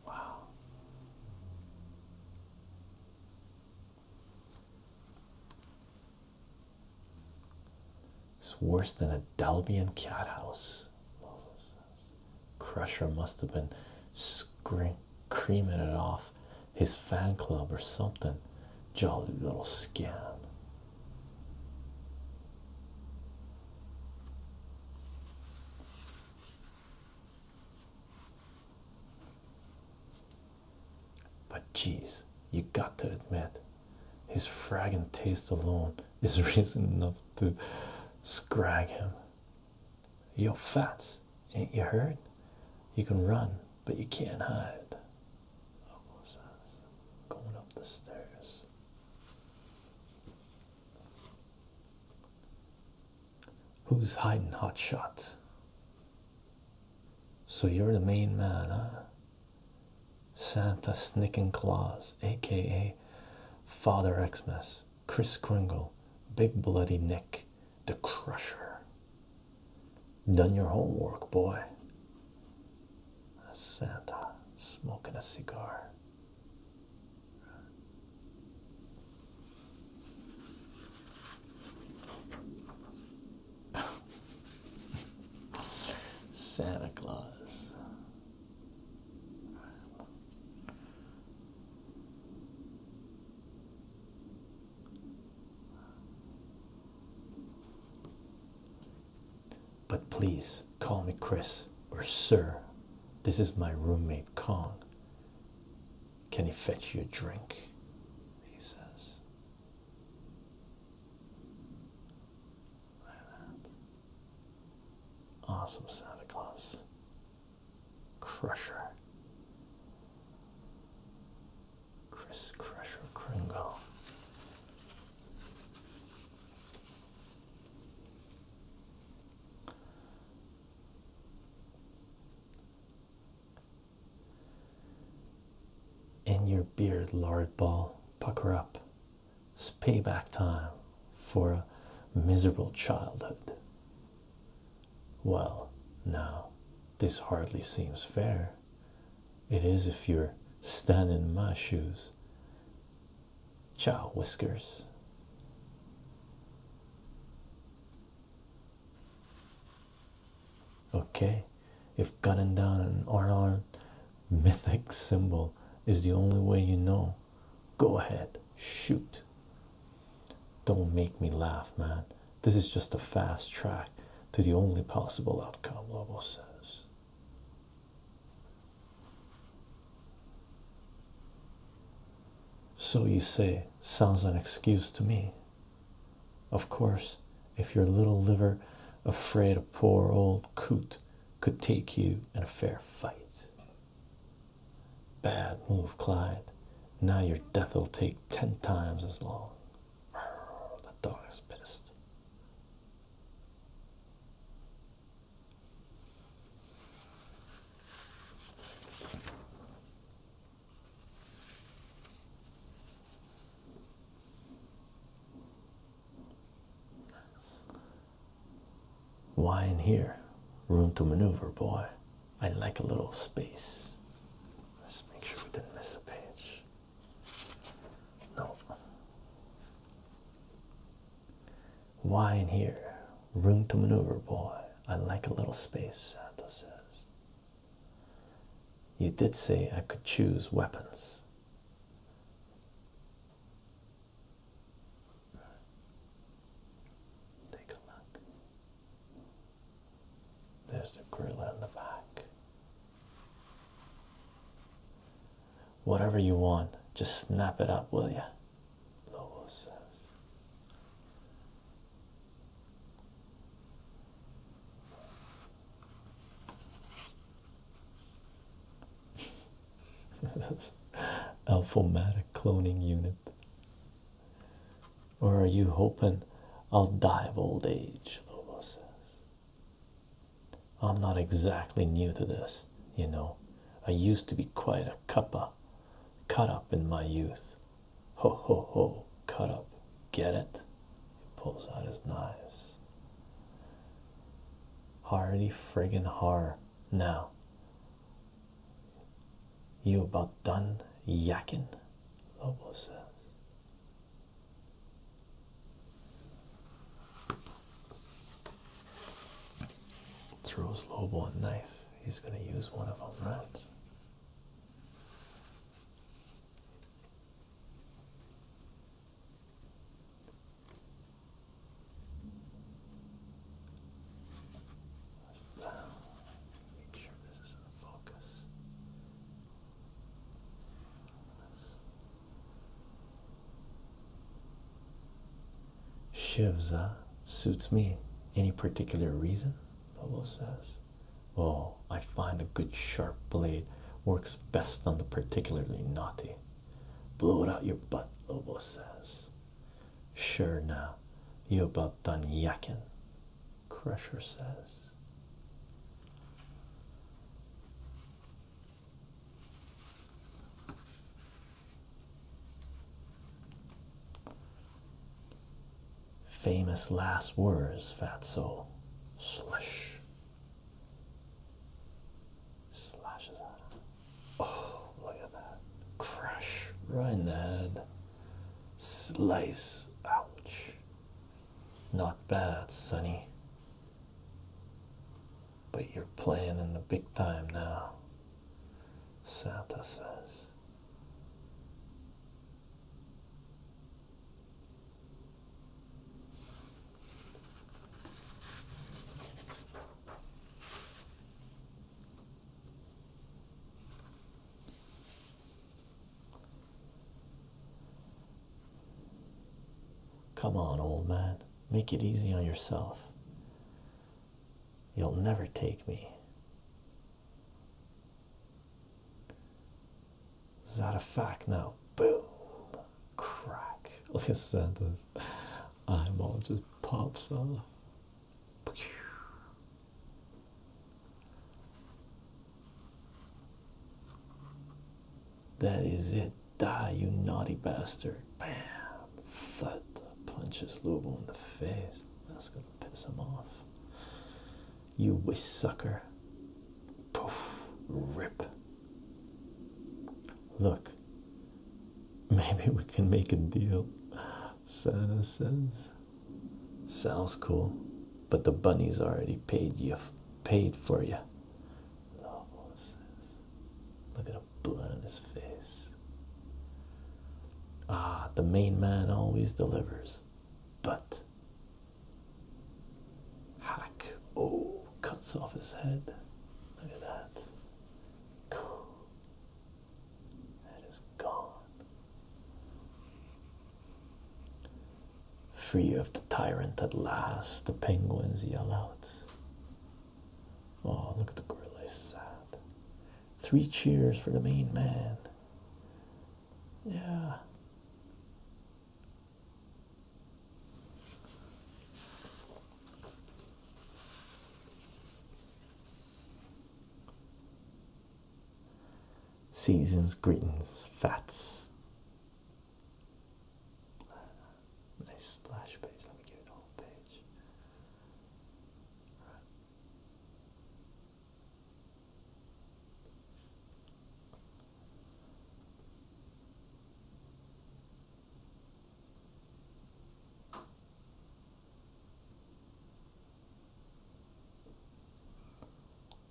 Wow. It's worse than a Dalbian cat house. Crusher must have been screaming, creaming it off his fan club or something. Jolly little scam. But geez, you got to admit, his fragrant taste alone is reason enough to scrag him. You're fat, ain't you heard? You can run, but you can't hide. Who's hiding, hot shot? So you're the main man, huh? Santa Snicking Claus, aka Father Xmas, Chris Kringle, Big Bloody Nick, The Crusher. Done your homework, boy. Santa smoking a cigar. Santa Claus. But please call me Chris or Sir. This is my roommate Kong. Can he fetch you a drink? He says. Awesome Santa Claus. Crusher. Chris Crusher Kringle. In your beard, lard ball, pucker up, it's payback time for a miserable childhood. Well, now, this hardly seems fair. It is if you're standing in my shoes. Ciao, Whiskers. Okay, if cutting down an unarmed mythic symbol is the only way you know Go ahead, shoot. Don't make me laugh, man. This is just a fast track to the only possible outcome, Lobo says. So you say, sounds an excuse to me. Of course, if your little liver afraid a poor old coot could take you you in a fair fight. Bad move, Clyde. Now your death will take ten times as long. That dog pissed. Why in here? Room to maneuver, boy. I like a little space. Let's make sure we didn't miss a page. No. Why in here? Room to maneuver, boy. I like a little space, Santa says. You did say I could choose weapons. Take a look. There's the grill on the back. Whatever you want, just snap it up, will ya? Alphomatic cloning unit. Or are you hoping I'll die of old age? Lobo says. I'm not exactly new to this, you know. I used to be quite a cuppa, cut up in my youth. Ho ho ho, cut up. Get it? He pulls out his knives. Hardy friggin' hard now. You about done yakking? Lobo says. Throws Lobo a knife. He's going to use one of them, right? Shivza suits me. Any particular reason? Pablo says. "Well, oh, I find a good sharp blade works best on the particularly naughty. Blow it out your butt, Lobo says. Sure now, you about done yakin, Crusher says. Famous last words, fat soul. Slush. Slashes at Oh, look at that. Crash right Slice. Ouch. Not bad, Sonny. But you're playing in the big time now. Santa says. Come on, old man, make it easy on yourself. You'll never take me. Is that a fact now? Boom! Crack! Look at Santa's. I'm all just pops off. That is it. Die, you naughty bastard. Bam. Thud. Punches Lobo in the face. That's gonna piss him off. You wish sucker. Poof. Rip. Look. Maybe we can make a deal. Santa says, "Sounds cool, but the bunnies already paid you, paid for you." "Look at the blood on his face." Ah, the main man always delivers, but hack! Oh, cuts off his head. Look at that. That is gone. Free of the tyrant at last, the penguins yell out. Oh, look at the gorilla, sad. Three cheers for the main man. Yeah. Seasons, greetings, fats. Nice splash page. Let me give it a page.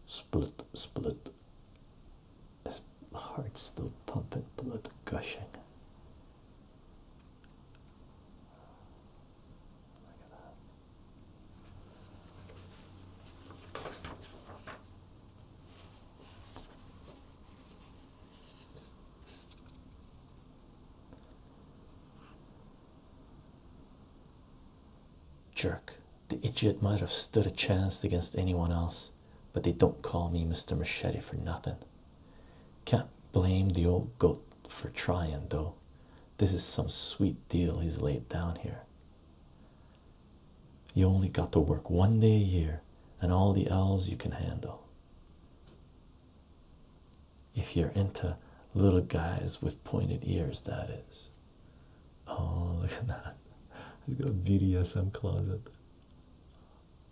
Split, split. His heart's still pumping, blood gushing. Jerk. The idiot might have stood a chance against anyone else, but they don't call me Mr. Machete for nothing. Can't blame the old goat for trying, though. This is some sweet deal he's laid down here. You only got to work one day a year, and all the elves you can handle. If you're into little guys with pointed ears, that is. Oh, look at that. He's got a BDSM closet.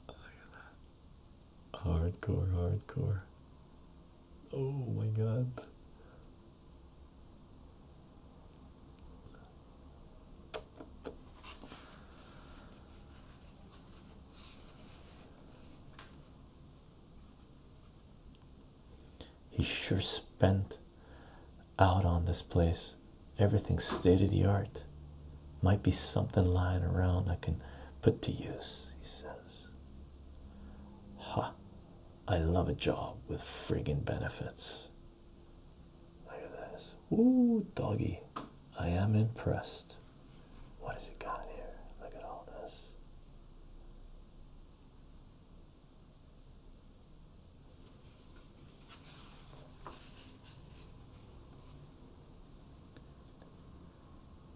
Look at that. Hardcore, hardcore. Oh my god. He sure spent out on this place. Everything state of the art. Might be something lying around I can put to use, he says. Ha! I love a job with friggin' benefits. Look at this. Ooh, doggy. I am impressed. What has he got here? Look at all this.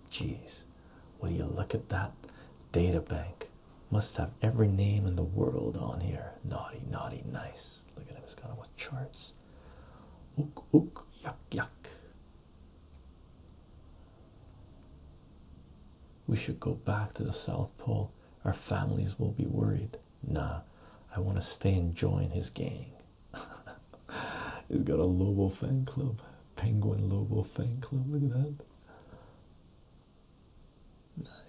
Geez, when you look at that data bank, must have every name in the world on here. Naughty, naughty, nice. Look at him, he has got him with charts. Ook, ook, yuck, yuck. We should go back to the South Pole. Our families will be worried. Nah, I want to stay and join his gang. He's got a Lobo fan club, Penguin Lobo fan club. Look at that.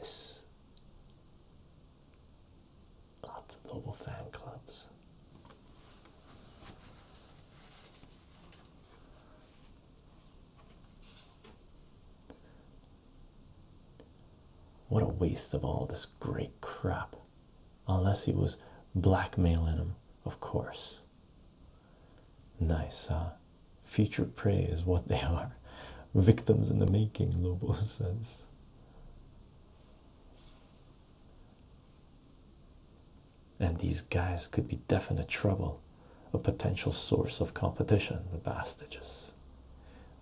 Nice. Lots of noble fan clubs. What a waste of all this great crap. Unless he was blackmailing him, of course. Nice, huh? Future prey is what they are. Victims in the making, Lobo says. And these guys could be definite trouble, a potential source of competition, the bastages.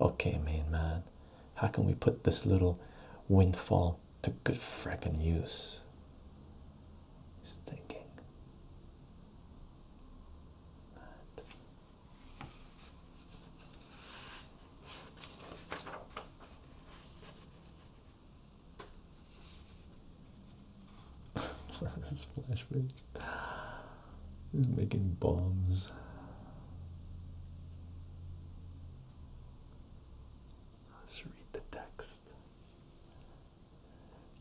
Okay, main man, how can we put this little windfall to good frickin' use? He's thinking. this flash page He's making bombs. Let's read the text.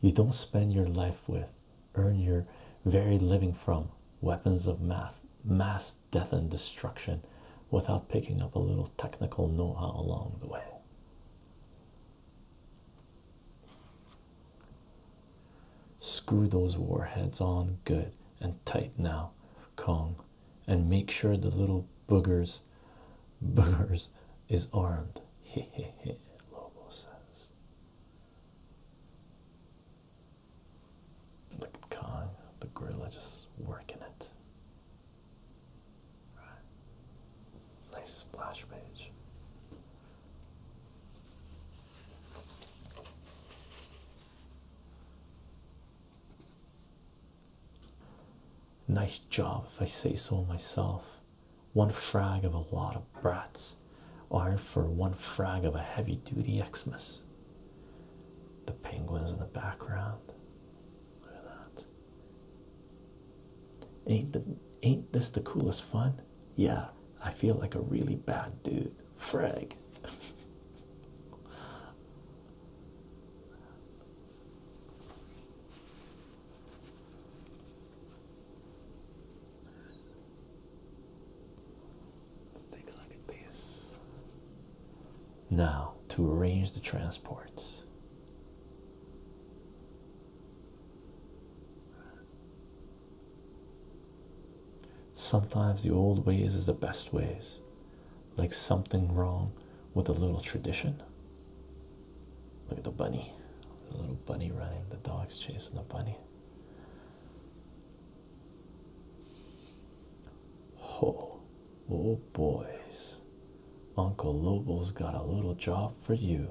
You don't spend your life with, earn your very living from weapons of mass, mass death and destruction without picking up a little technical know-how along the way. Screw those warheads on good and tight now, Kong, and make sure the little boogers boogers is armed. He he he Lobo says. The Kong, the gorilla just working it. Right. Nice splash page. Nice job, if I say so myself. One frag of a lot of brats, are for one frag of a heavy duty Xmas. The penguins in the background. Look at that. Ain't the ain't this the coolest fun? Yeah, I feel like a really bad dude. Frag. take a look at this. Now to arrange the transports. Sometimes the old ways is the best ways, like something wrong with a little tradition. Look at the bunny, the little bunny running, the dog's chasing the bunny. Oh, Oh, boys, Uncle Lobo's got a little job for you.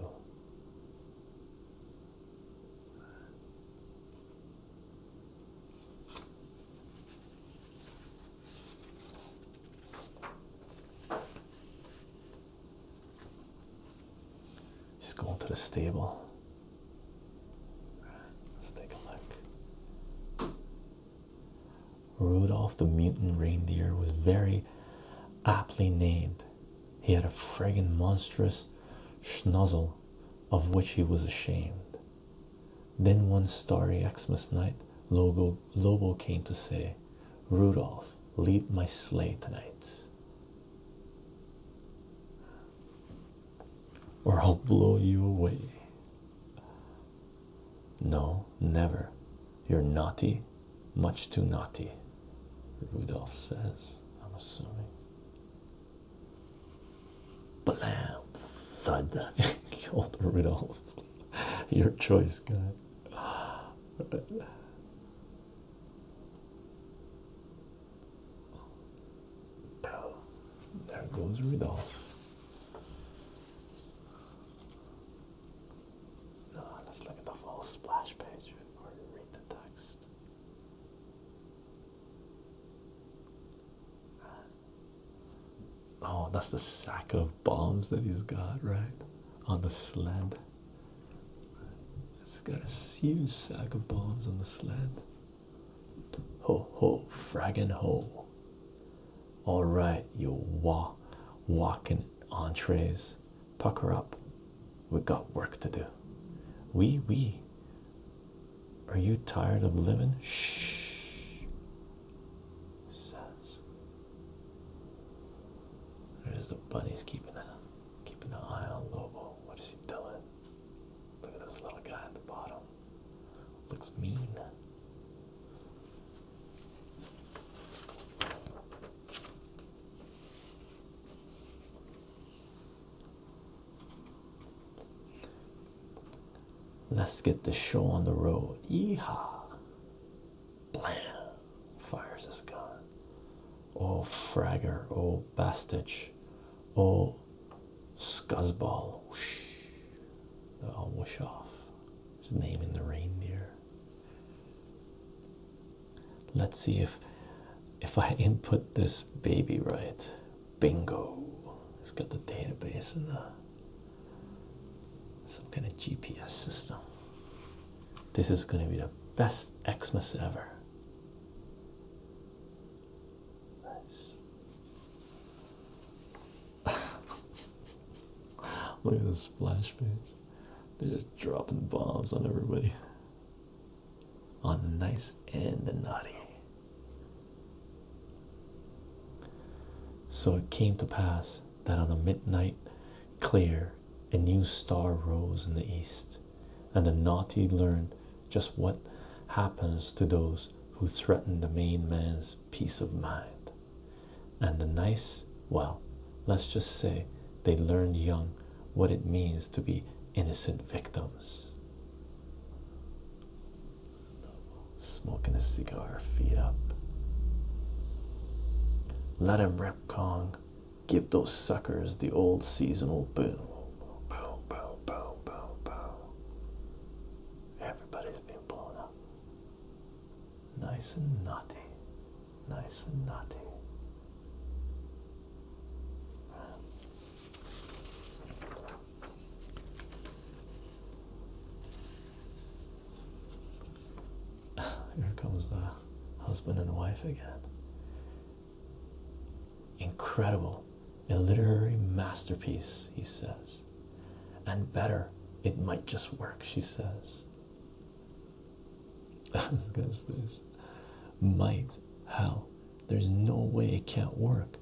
He's going to the stable. Let's take a look. Rudolph the mutant reindeer was very aptly named. He had a friggin' monstrous schnozzle of which he was ashamed. Then one starry Xmas night, Lobo, came to say, Rudolph, lead my sleigh tonight. Or I'll blow you away. No, never. You're naughty, much too naughty, Rudolph says. I'm assuming. Blam, thud, old Rudolph. Your choice, guy. There goes Rudolph. No, let's look at the full splash page before read the text. Uh, oh, that's the sack of bombs that he's got, right? On the sled. It's got a huge sack of bombs on the sled. Ho ho, fraggin' ho. All right, you wa walking entrees, pucker up. We got work to do. We we. Are you tired of living? Shh. Says. There's the bunnies keeping a keeping an eye on Lobo. What is he doing? Look at this little guy at the bottom. Looks mean. Let's get the show on the road. Yeehaw! Blam! Fires his gun. Oh, Fragger. Oh, Bastich. Oh, Scuzzball. Whoosh. They all whoosh off. Just naming the reindeer. Let's see if if I input this baby right. Bingo. It's got the database and the some kind of GPS system. This is gonna be the best Xmas ever. Nice. Look at this splash page. They're just dropping bombs on everybody. On the nice and the naughty. So it came to pass that on the midnight clear, a new star rose in the east, and the naughty learned just what happens to those who threaten the main man's peace of mind. And the nice, well, let's just say they learned young what it means to be innocent victims. Smoking a cigar, feet up. Let him rip Kong. Give those suckers the old seasonal boom. Boom, boom, boom, boom, boom. Everybody's been Nice and naughty, Nice and naughty. Here comes the husband and wife again. Incredible, a literary masterpiece, he says and better it might just work she says might Hell, there's no way it can't work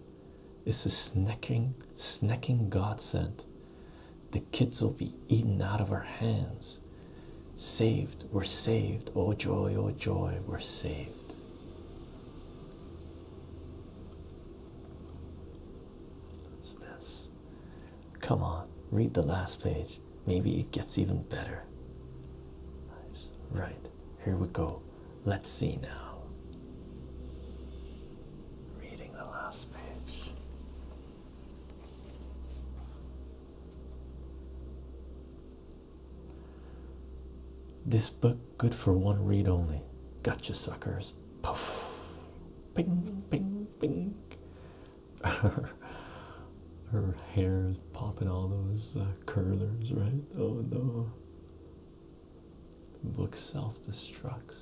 it's a snacking snacking godsend the kids will be eaten out of our hands saved we're saved oh joy oh joy we're saved What's this Come on, read the last page. Maybe it gets even better. Right, here we go. Let's see now. Reading the last page. This book good for one read only. Gotcha suckers. Poof. Ping, ping, ping. Her hair is popping all those uh, curlers, right? Oh no. The book self destructs.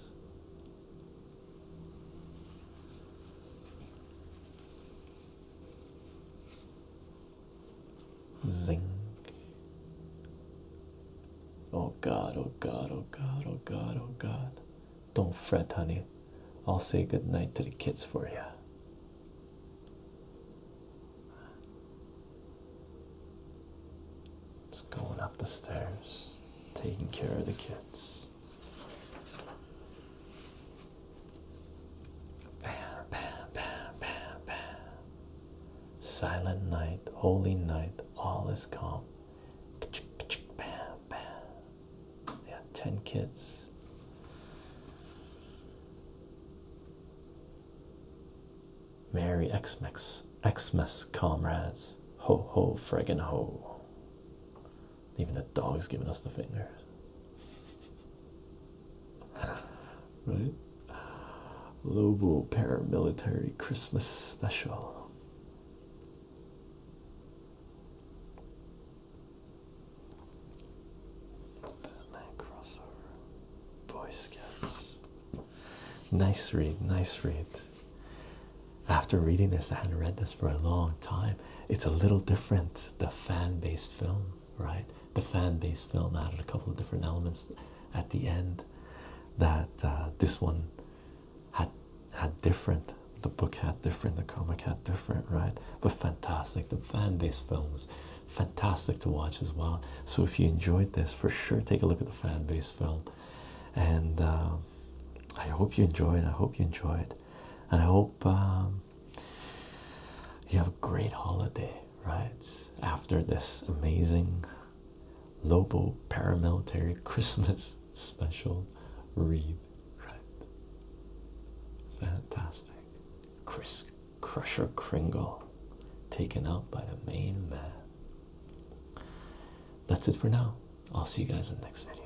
Zing. Oh god, oh god, oh god, oh god, oh god. Don't fret, honey. I'll say goodnight to the kids for you. Just going up the stairs, taking care of the kids. Bam, bam, bam, bam, bam. Silent night, holy night, all is calm. Bam, bam. ten kids. Merry Xmas, Xmas comrades. Ho ho, friggin' ho. Even the dog's giving us the finger. right? Global Paramilitary Christmas Special. Batman crossover, Boy Scouts. Nice read, nice read. After reading this, I hadn't read this for a long time. It's a little different, the fan based film, right? The fan based film added a couple of different elements at the end that uh, this one had had different the book had different the comic had different right but fantastic the fan base films fantastic to watch as well so if you enjoyed this for sure take a look at the fan base film and um, i hope you enjoy it. i hope you enjoy it. and i hope um, you have a great holiday right after this amazing lobo paramilitary christmas special read, right? Fantastic. Chris Crusher Kringle taken out by the main man. That's it for now. I'll see you guys in the next video.